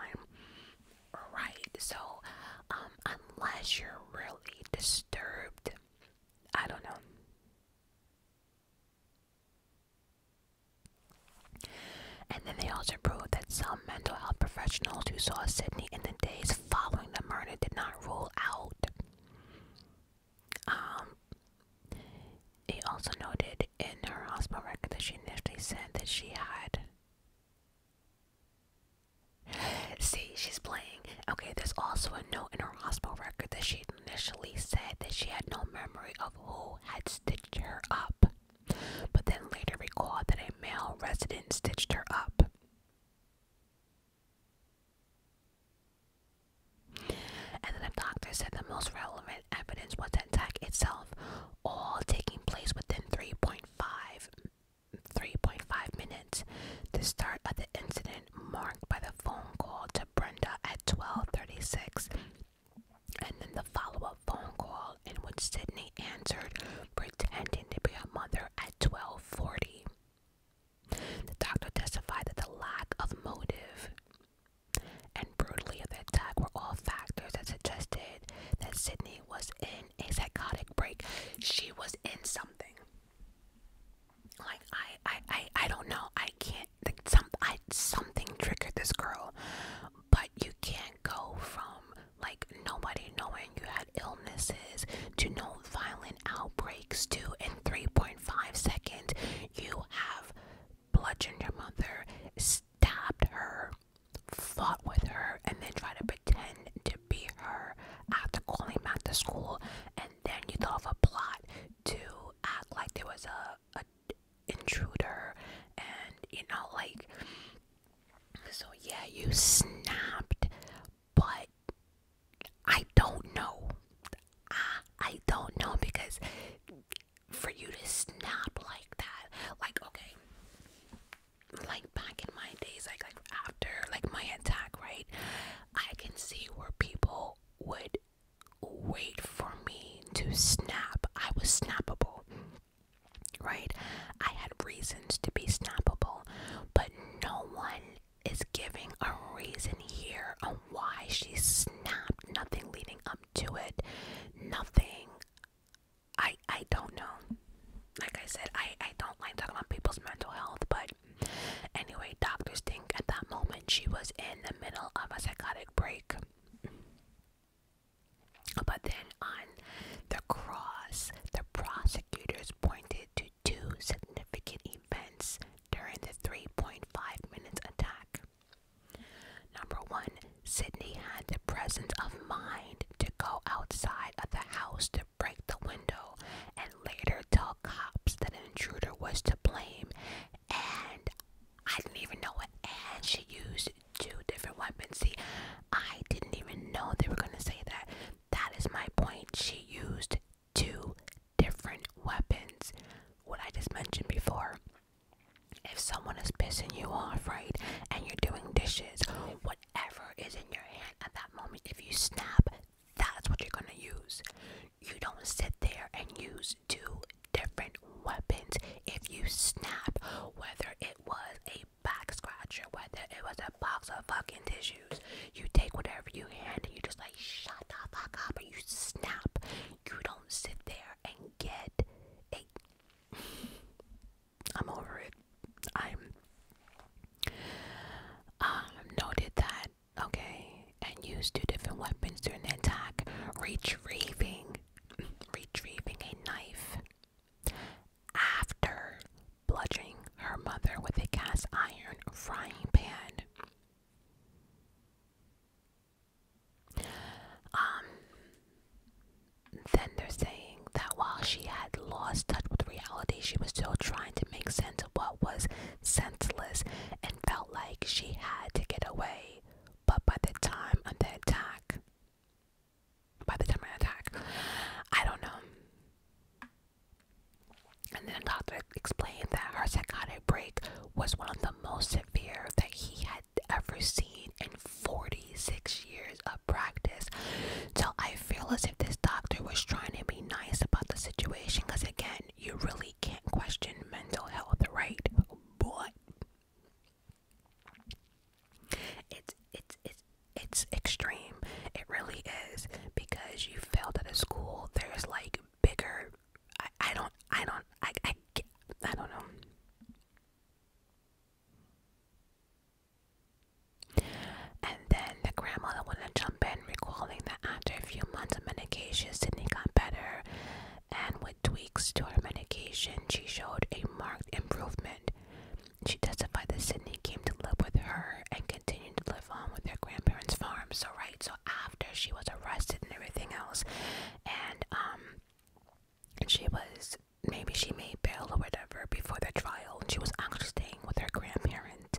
Right, so um, unless you're really disturbed, I don't know. And then they also proved that some mental health professionals who saw Sydney in the days following the murder did not rule out. Um, also noted in her hospital record that she initially said that she had. See, she's playing. Okay, there's also a note in her hospital record that she initially said that she had no memory of who had stitched her up, but then later recalled that a male resident stitched her up. And then the doctor said the most relevant evidence was the attack itself, all taking place within 3.5 minutes. The start of the incident marked by the phone call to Brenda at 12:36 and then the follow-up phone call in which Sydney answered pretending to be a mother at 12:40. The doctor testified that the lack of motive and brutally of the attack were all factors that suggested that Sydney was in a psychotic break. She was in something. Like I, I, I, I don't know. I can't. Like some, I something triggered this girl, but you can't go from like nobody knowing you had illnesses to no violent outbreaks to in 3.5 seconds you have bludgeoned your mother stabbed her fought with her and then try to pretend to be her after calling back to school and then you thought of a plot to act like there was a, a intruder and you know like so yeah you snapped but I don't know. I, I don't know because for you to snap like that, like, okay, like back in my days, like after like my attack, right? I can see where people would wait for me to snap. I was snappable, right? I had reasons to be snappable, but no one is giving a reason here on why she snapped. Nothing leading up to it. Nothing. I I don't know. Like I said, I I don't like talking about people's mental health, but anyway, doctors think at that moment she was in the middle of a psychotic break. But then on the cross, the prosecutors pointed to two significant events during the 3.5 minutes attack. Number one, Sydney had the presence of mind to go outside of the house to break the window and later tell cops that an intruder was to blame. And I didn't even know it. And she used two different weapons. See, I didn't even know they were going to say that. That is my point. She used two different weapons. What I just mentioned before. If someone is pissing you off, right, and you're doing dishes, whatever is in your hand at that moment, if you snap, that's what you're gonna use. You don't sit there and use two different weapons. If you snap, whether it was a back or whether it was a box of fucking tissue, you take whatever you hand and you just like shut the fuck up and you snap. You don't sit there and get a I'm over it. I'm um, noted that okay and use two different weapons during the attack. Retrieving retrieving a knife after bludgeoning her mother with a cast iron frying pan. Um, then they're saying that while she had lost touch with reality, she was still trying to make sense of what was senseless and felt like she had to get away. But by the time of the attack, by the time of the attack, I don't know. And then the doctor explained that her psychotic break was one of the most severe that he had ever seen in 46 years of practice. So I feel as if this doctor was trying to be nice about the situation because, again, you really can't question mental health, right? But it's, it's, it's, it's extreme. It really is because you failed at a school. There's like bigger. I, I don't. I don't. I. I. I don't know. And then the grandmother wanted to jump in, recalling that after a few months of medication, Sydney got better, and with tweaks to her medication, she showed a marked improvement. She testified that Sydney came to live with her and continued to live on with their grandparents' farm. So right, so after she was arrested and everything else, and um, she was maybe she made bail or whatever before the trial, she was actually staying with her grandparents,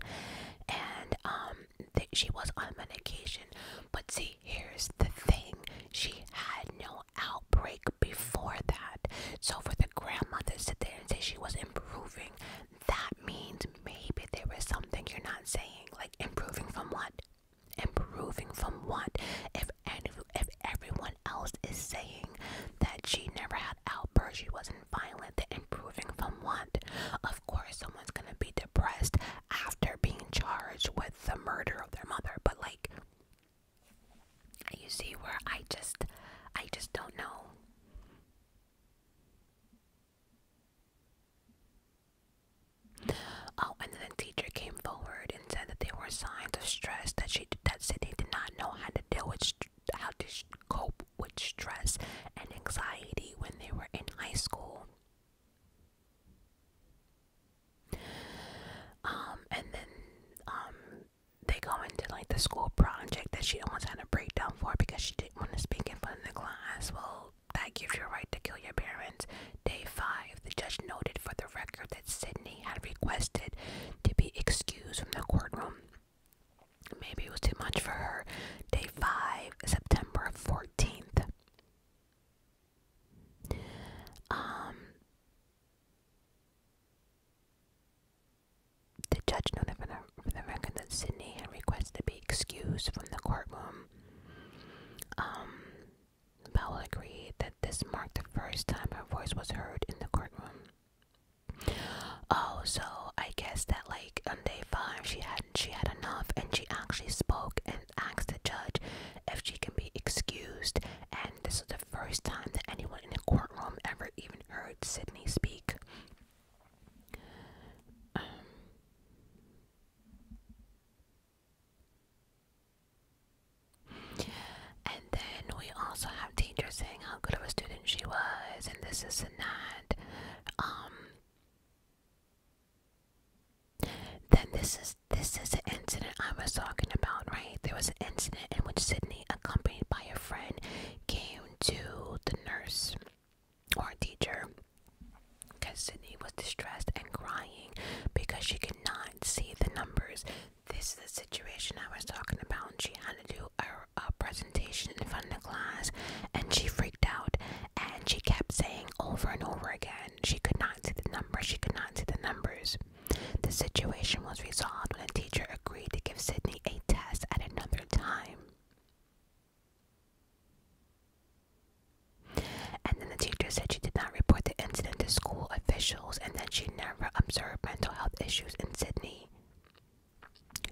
and um, th she was on medication. But see, here's the thing: she had no outbreak before that. So for the grandmother to sit there and say she was improving, that means maybe there was something you're not saying. Like improving from what? Improving from what? If any, if everyone else is saying that she never had outbursts, she wasn't violent, then improving from what? Of course, someone's gonna be depressed after being charged with the murder of their mother. But like, you see where I just, I just don't know. Oh, and then the teacher came forward and said that there were signs of stress that she that Sydney did not know how to deal with how to cope with stress and anxiety when they were in high school. Um, and then um, they go into like the school project that she almost had a breakdown for because she want to speak in front of the class, well, that gives you a right to kill your parents. Day 5, the judge noted for the record that Sydney had requested to be excused from the courtroom. Maybe it was too much for her. Day 5, September 14th. Um, the judge noted for the record that Sydney had requested to be excused from the courtroom. Um, Bell agreed that this marked the first time her voice was heard in the courtroom. Oh, so I guess that like on day five she had she had enough and she actually spoke and asked the judge if she can be excused and this was the first time that anyone in the courtroom ever even heard Sydney speak. Um, and then we also have teachers saying how good of a student she was, and this is and that. Um, then this is this is an incident I was talking about, right? There was an incident in which Sydney, accompanied by a friend, came to the nurse or teacher because Sydney was distressed and crying because she could not see the numbers. This is the situation I was talking about. She had to do a, a presentation in front of the class and she freaked out and she kept saying over and over again she could not see the numbers, she could not see the numbers. The situation was resolved when the teacher agreed to give Sydney a test at another time. And then the teacher said she did not report the incident to school officials and that she never observed mental health issues in Sydney.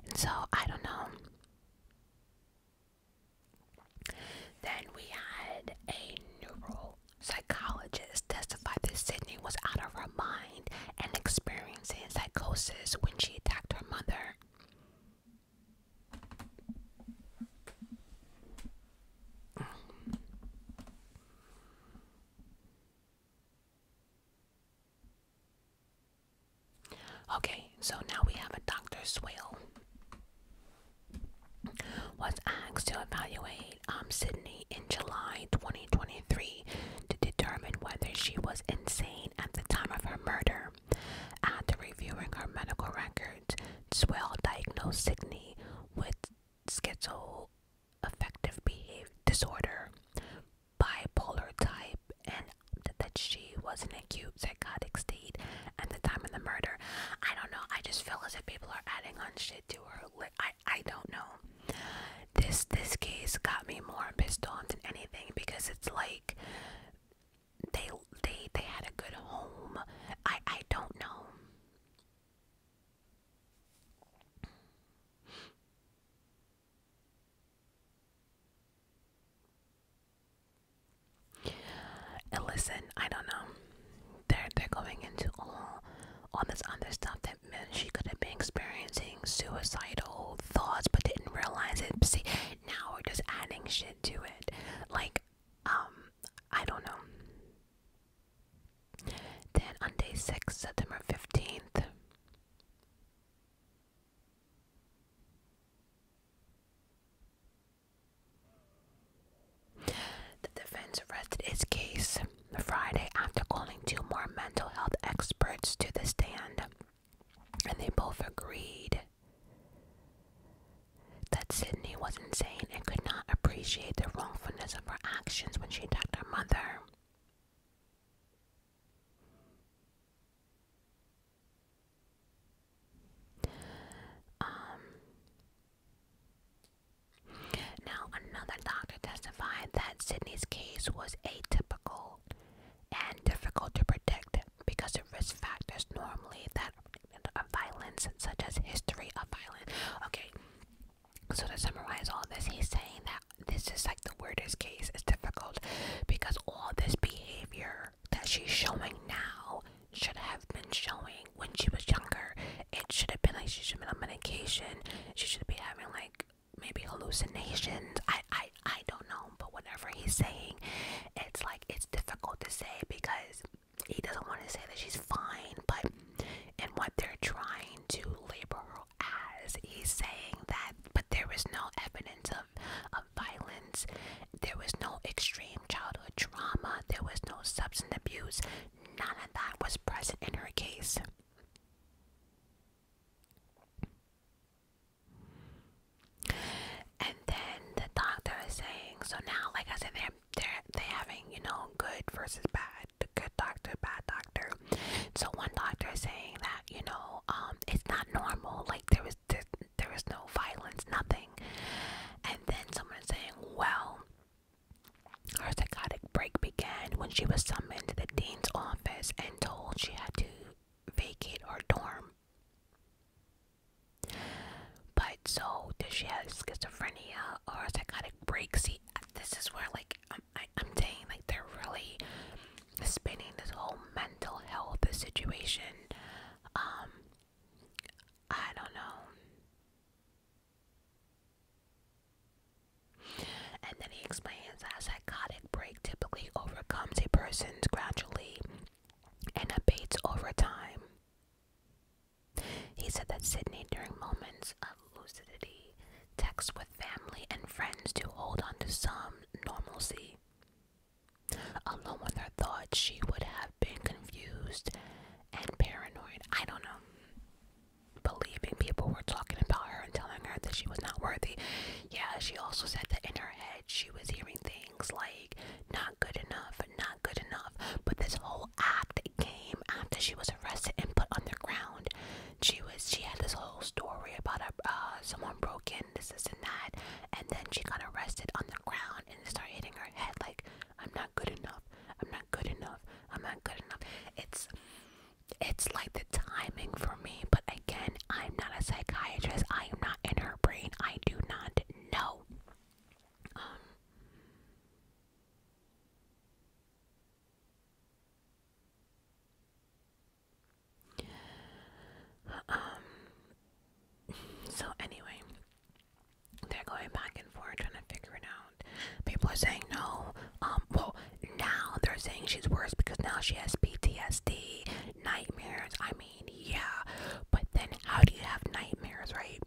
And so I don't know. Then we had a neural testify that Sydney was out of her mind and experiencing psychosis when she attacked her mother. Okay, so now we have a Dr. Swale was asked to evaluate um, Sydney in July 2023 to determine whether she was insane at the time of her murder. After reviewing her medical records, Swell diagnosed Sydney with schizoaffective behavior disorder, bipolar type, and that she was in an acute psychotic state at the time of the murder. I don't know. I just feel as if people are adding on shit to her. I I don't know. This this case got me more pissed off than anything because it's like they they they had a good home. I I don't know. And listen, I don't know. They're they're going into all all this other stuff that meant she could have been experiencing suicidal thoughts but didn't realize it. See, now we're just adding shit to it. Like, um, I don't know. Then on day six, September fifteenth. The defense rested its case Friday after calling two more mental health experts to the stand and they both agreed that Sydney was insane and could not appreciate the wrongfulness of her actions when she attacked her mother. Um, now, another doctor testified that Sydney's case was atypical and difficult to predict because of risk factors normally that of uh, violence, such as history of violence. Okay, so to summarize all this, he's saying that this is like the weirdest case. It's difficult because all this behavior that she's showing now should have been showing when she was younger. It should have been like she should have been on medication. She should be having like maybe hallucinations. I I I don't know, but whatever he's saying, it's like it's difficult to say because he doesn't want to say that she's fine, but and what they're trying to label her as, he's saying that but there was no evidence of of violence, there was no extreme childhood trauma, there was no substance abuse, none of that was present in her case. And then the doctor is saying, so now, like I said, they're they're they having you know good versus bad, the good doctor, bad doctor. So one doctor is saying that you know um it's not normal, like there was there, was no violence, nothing. And then someone is saying, well, her psychotic break began when she was summoned to the dean's office and told she had to vacate her dorm. But so does she have schizophrenia or psychotic break? See, this is where like I'm, I, am i saying like they're really spinning this whole mental health situation. Um, I don't know. And then he explains that psychotic break typically overcomes a person gradually and abates over time. He said that Sydney, during moments of lucidity, texts with family and friends to hold on to some normalcy. Alone with her thoughts, she would have been confused and paranoid. I don't know. Believing people were talking about her and telling her that she was not worthy. Yeah, she also said that in her head she was hearing things like not good enough, not good enough. But this whole act came after she was arrested and put underground. She was she had this whole story about a, uh, someone broke in, this, this, and that, and then she got arrested on the ground and it started hitting her head like, I'm not good enough. I'm not good enough. I'm not good enough. It's it's like the timing for me, but again, I'm not a psychiatrist. I am not in her brain. I do not know. Um, um so anyway they're going back and forth trying to figure it out people are saying no um well now they're saying she's worse because now she has ptsd nightmares i mean yeah, but then how do you have nightmares, right?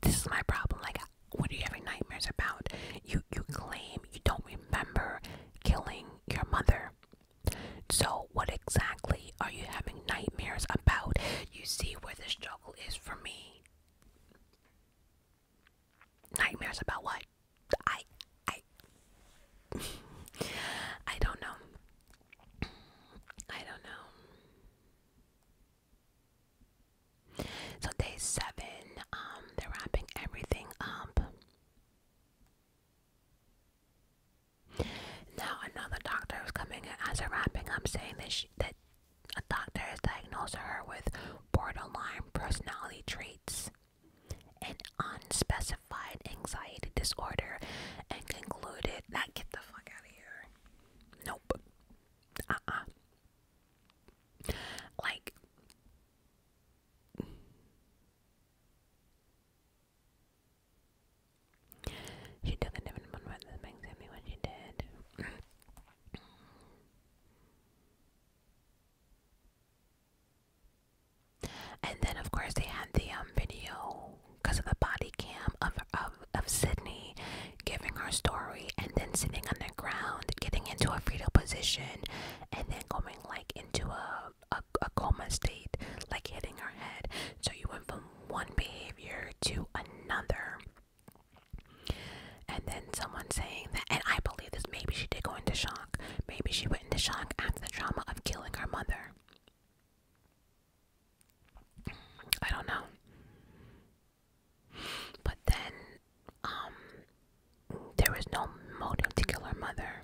This is my problem. Like, what are you having nightmares about? You you claim you don't remember killing your mother. So, what exactly are you having nightmares about? You see where the struggle is for me. Nightmares about what? I I I don't know. I don't know. So day seven, um, they're wrapping everything up. Now another doctor is coming in as they're wrapping up, saying that she, that a doctor has diagnosed her with borderline personality traits and unspecified specified anxiety disorder and concluded that get the fuck out of here. Nope. Uh uh. Like. She took a different one rather than makes me when she did. And then, of course, they had the um, video because of the body cam of, of, Sydney giving her story and then sitting on the ground, getting into a fetal position, and then going like into a, a coma state, like hitting her head. So you went from one behavior to another. And then someone saying that, and I believe this, maybe she did go into shock. Maybe she went into shock after the trauma of killing her mother. I don't know. But then, um, there was no motive to kill her mother.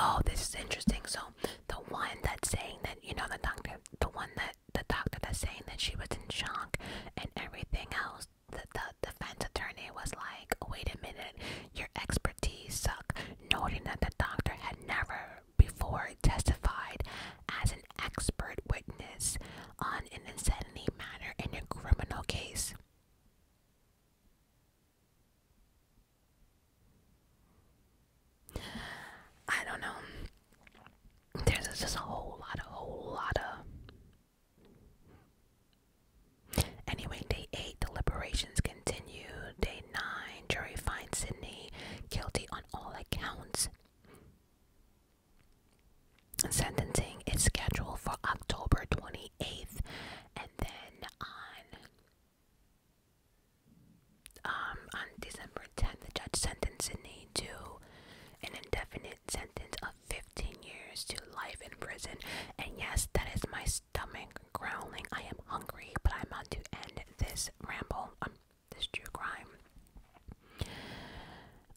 Oh, this is interesting. So, the one that's saying that, you know, the doctor, the one that the doctor that's saying that she was in shock and everything else, the, the defense attorney was like, wait a minute, your expertise suck, noting that the doctor had never before testified as an expert witness on an insanity matter in a criminal case. I don't know. There's just a whole lot, a whole lot of. Anyway, day 8, deliberations continue. Day 9, jury finds Sydney guilty on all accounts. Sentencing is scheduled for October 28th, and then on um, on December 10th, the judge sentenced Sydney to an indefinite sentence of 15 years to life in prison. And yes, that is my stomach growling. I am hungry, but I'm about to end this ramble, um, this true crime.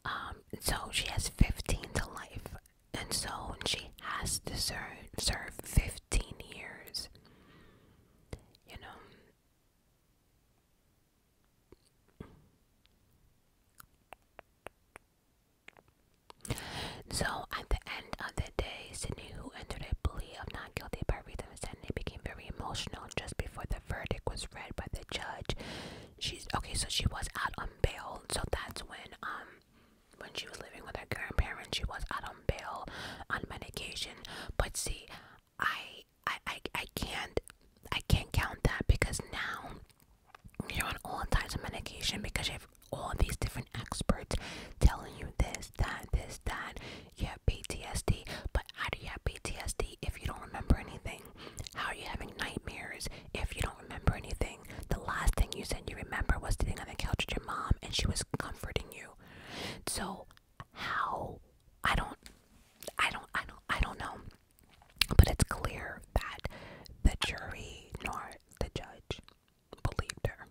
Um, so she has 15 to life, and so she has to serve, serve 15 years. You know, so, at the end of the day, Sydney, who entered a plea of not guilty by reason of insanity, became very emotional just before the verdict was read by the judge. She's okay, so she was out on bail. So that's when, um, when she was living with her grandparents, she was out on bail on medication. But see, I I I I can't I can't count that because now you're on all types of medication because you have all these different experts telling you this, that, this, that. You have PTSD, but how do you have PTSD if you don't remember anything? How are you having nightmares if you don't remember anything? The last thing you said you remember was sitting on the couch with your mom and she was comforting you. So how I don't I don't I don't I don't know. But it's clear that the jury nor the judge believed her.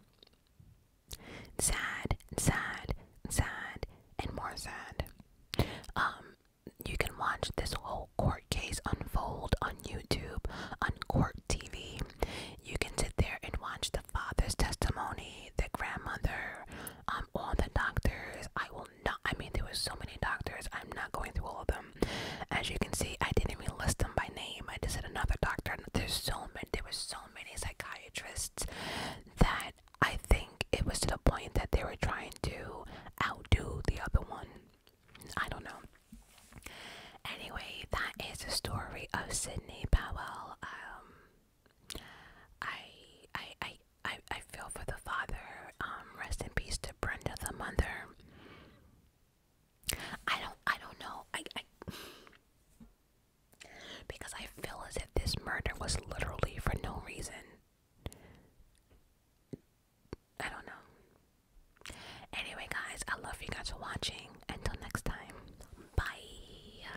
Sad, sad, sad, and more sad. Um, you can watch this whole court case unfold on YouTube, on court TV. You can sit there and watch the father's testimony, the grandmother, um all the doctors i will not i mean there were so many doctors i'm not going through all of them as you can see i didn't even list them by name i just said another doctor there's so many there were so many psychiatrists that i think it was to the point that they were trying to outdo the other one i don't know Anyway, that is the story of Sydney Powell. Um, I I I I I feel for the father. Um, rest in peace to Brenda, the mother. I don't I don't know. I I because I feel as if this murder was literally for no reason. I don't know. Anyway, guys, I love you guys for watching. Until next time, bye.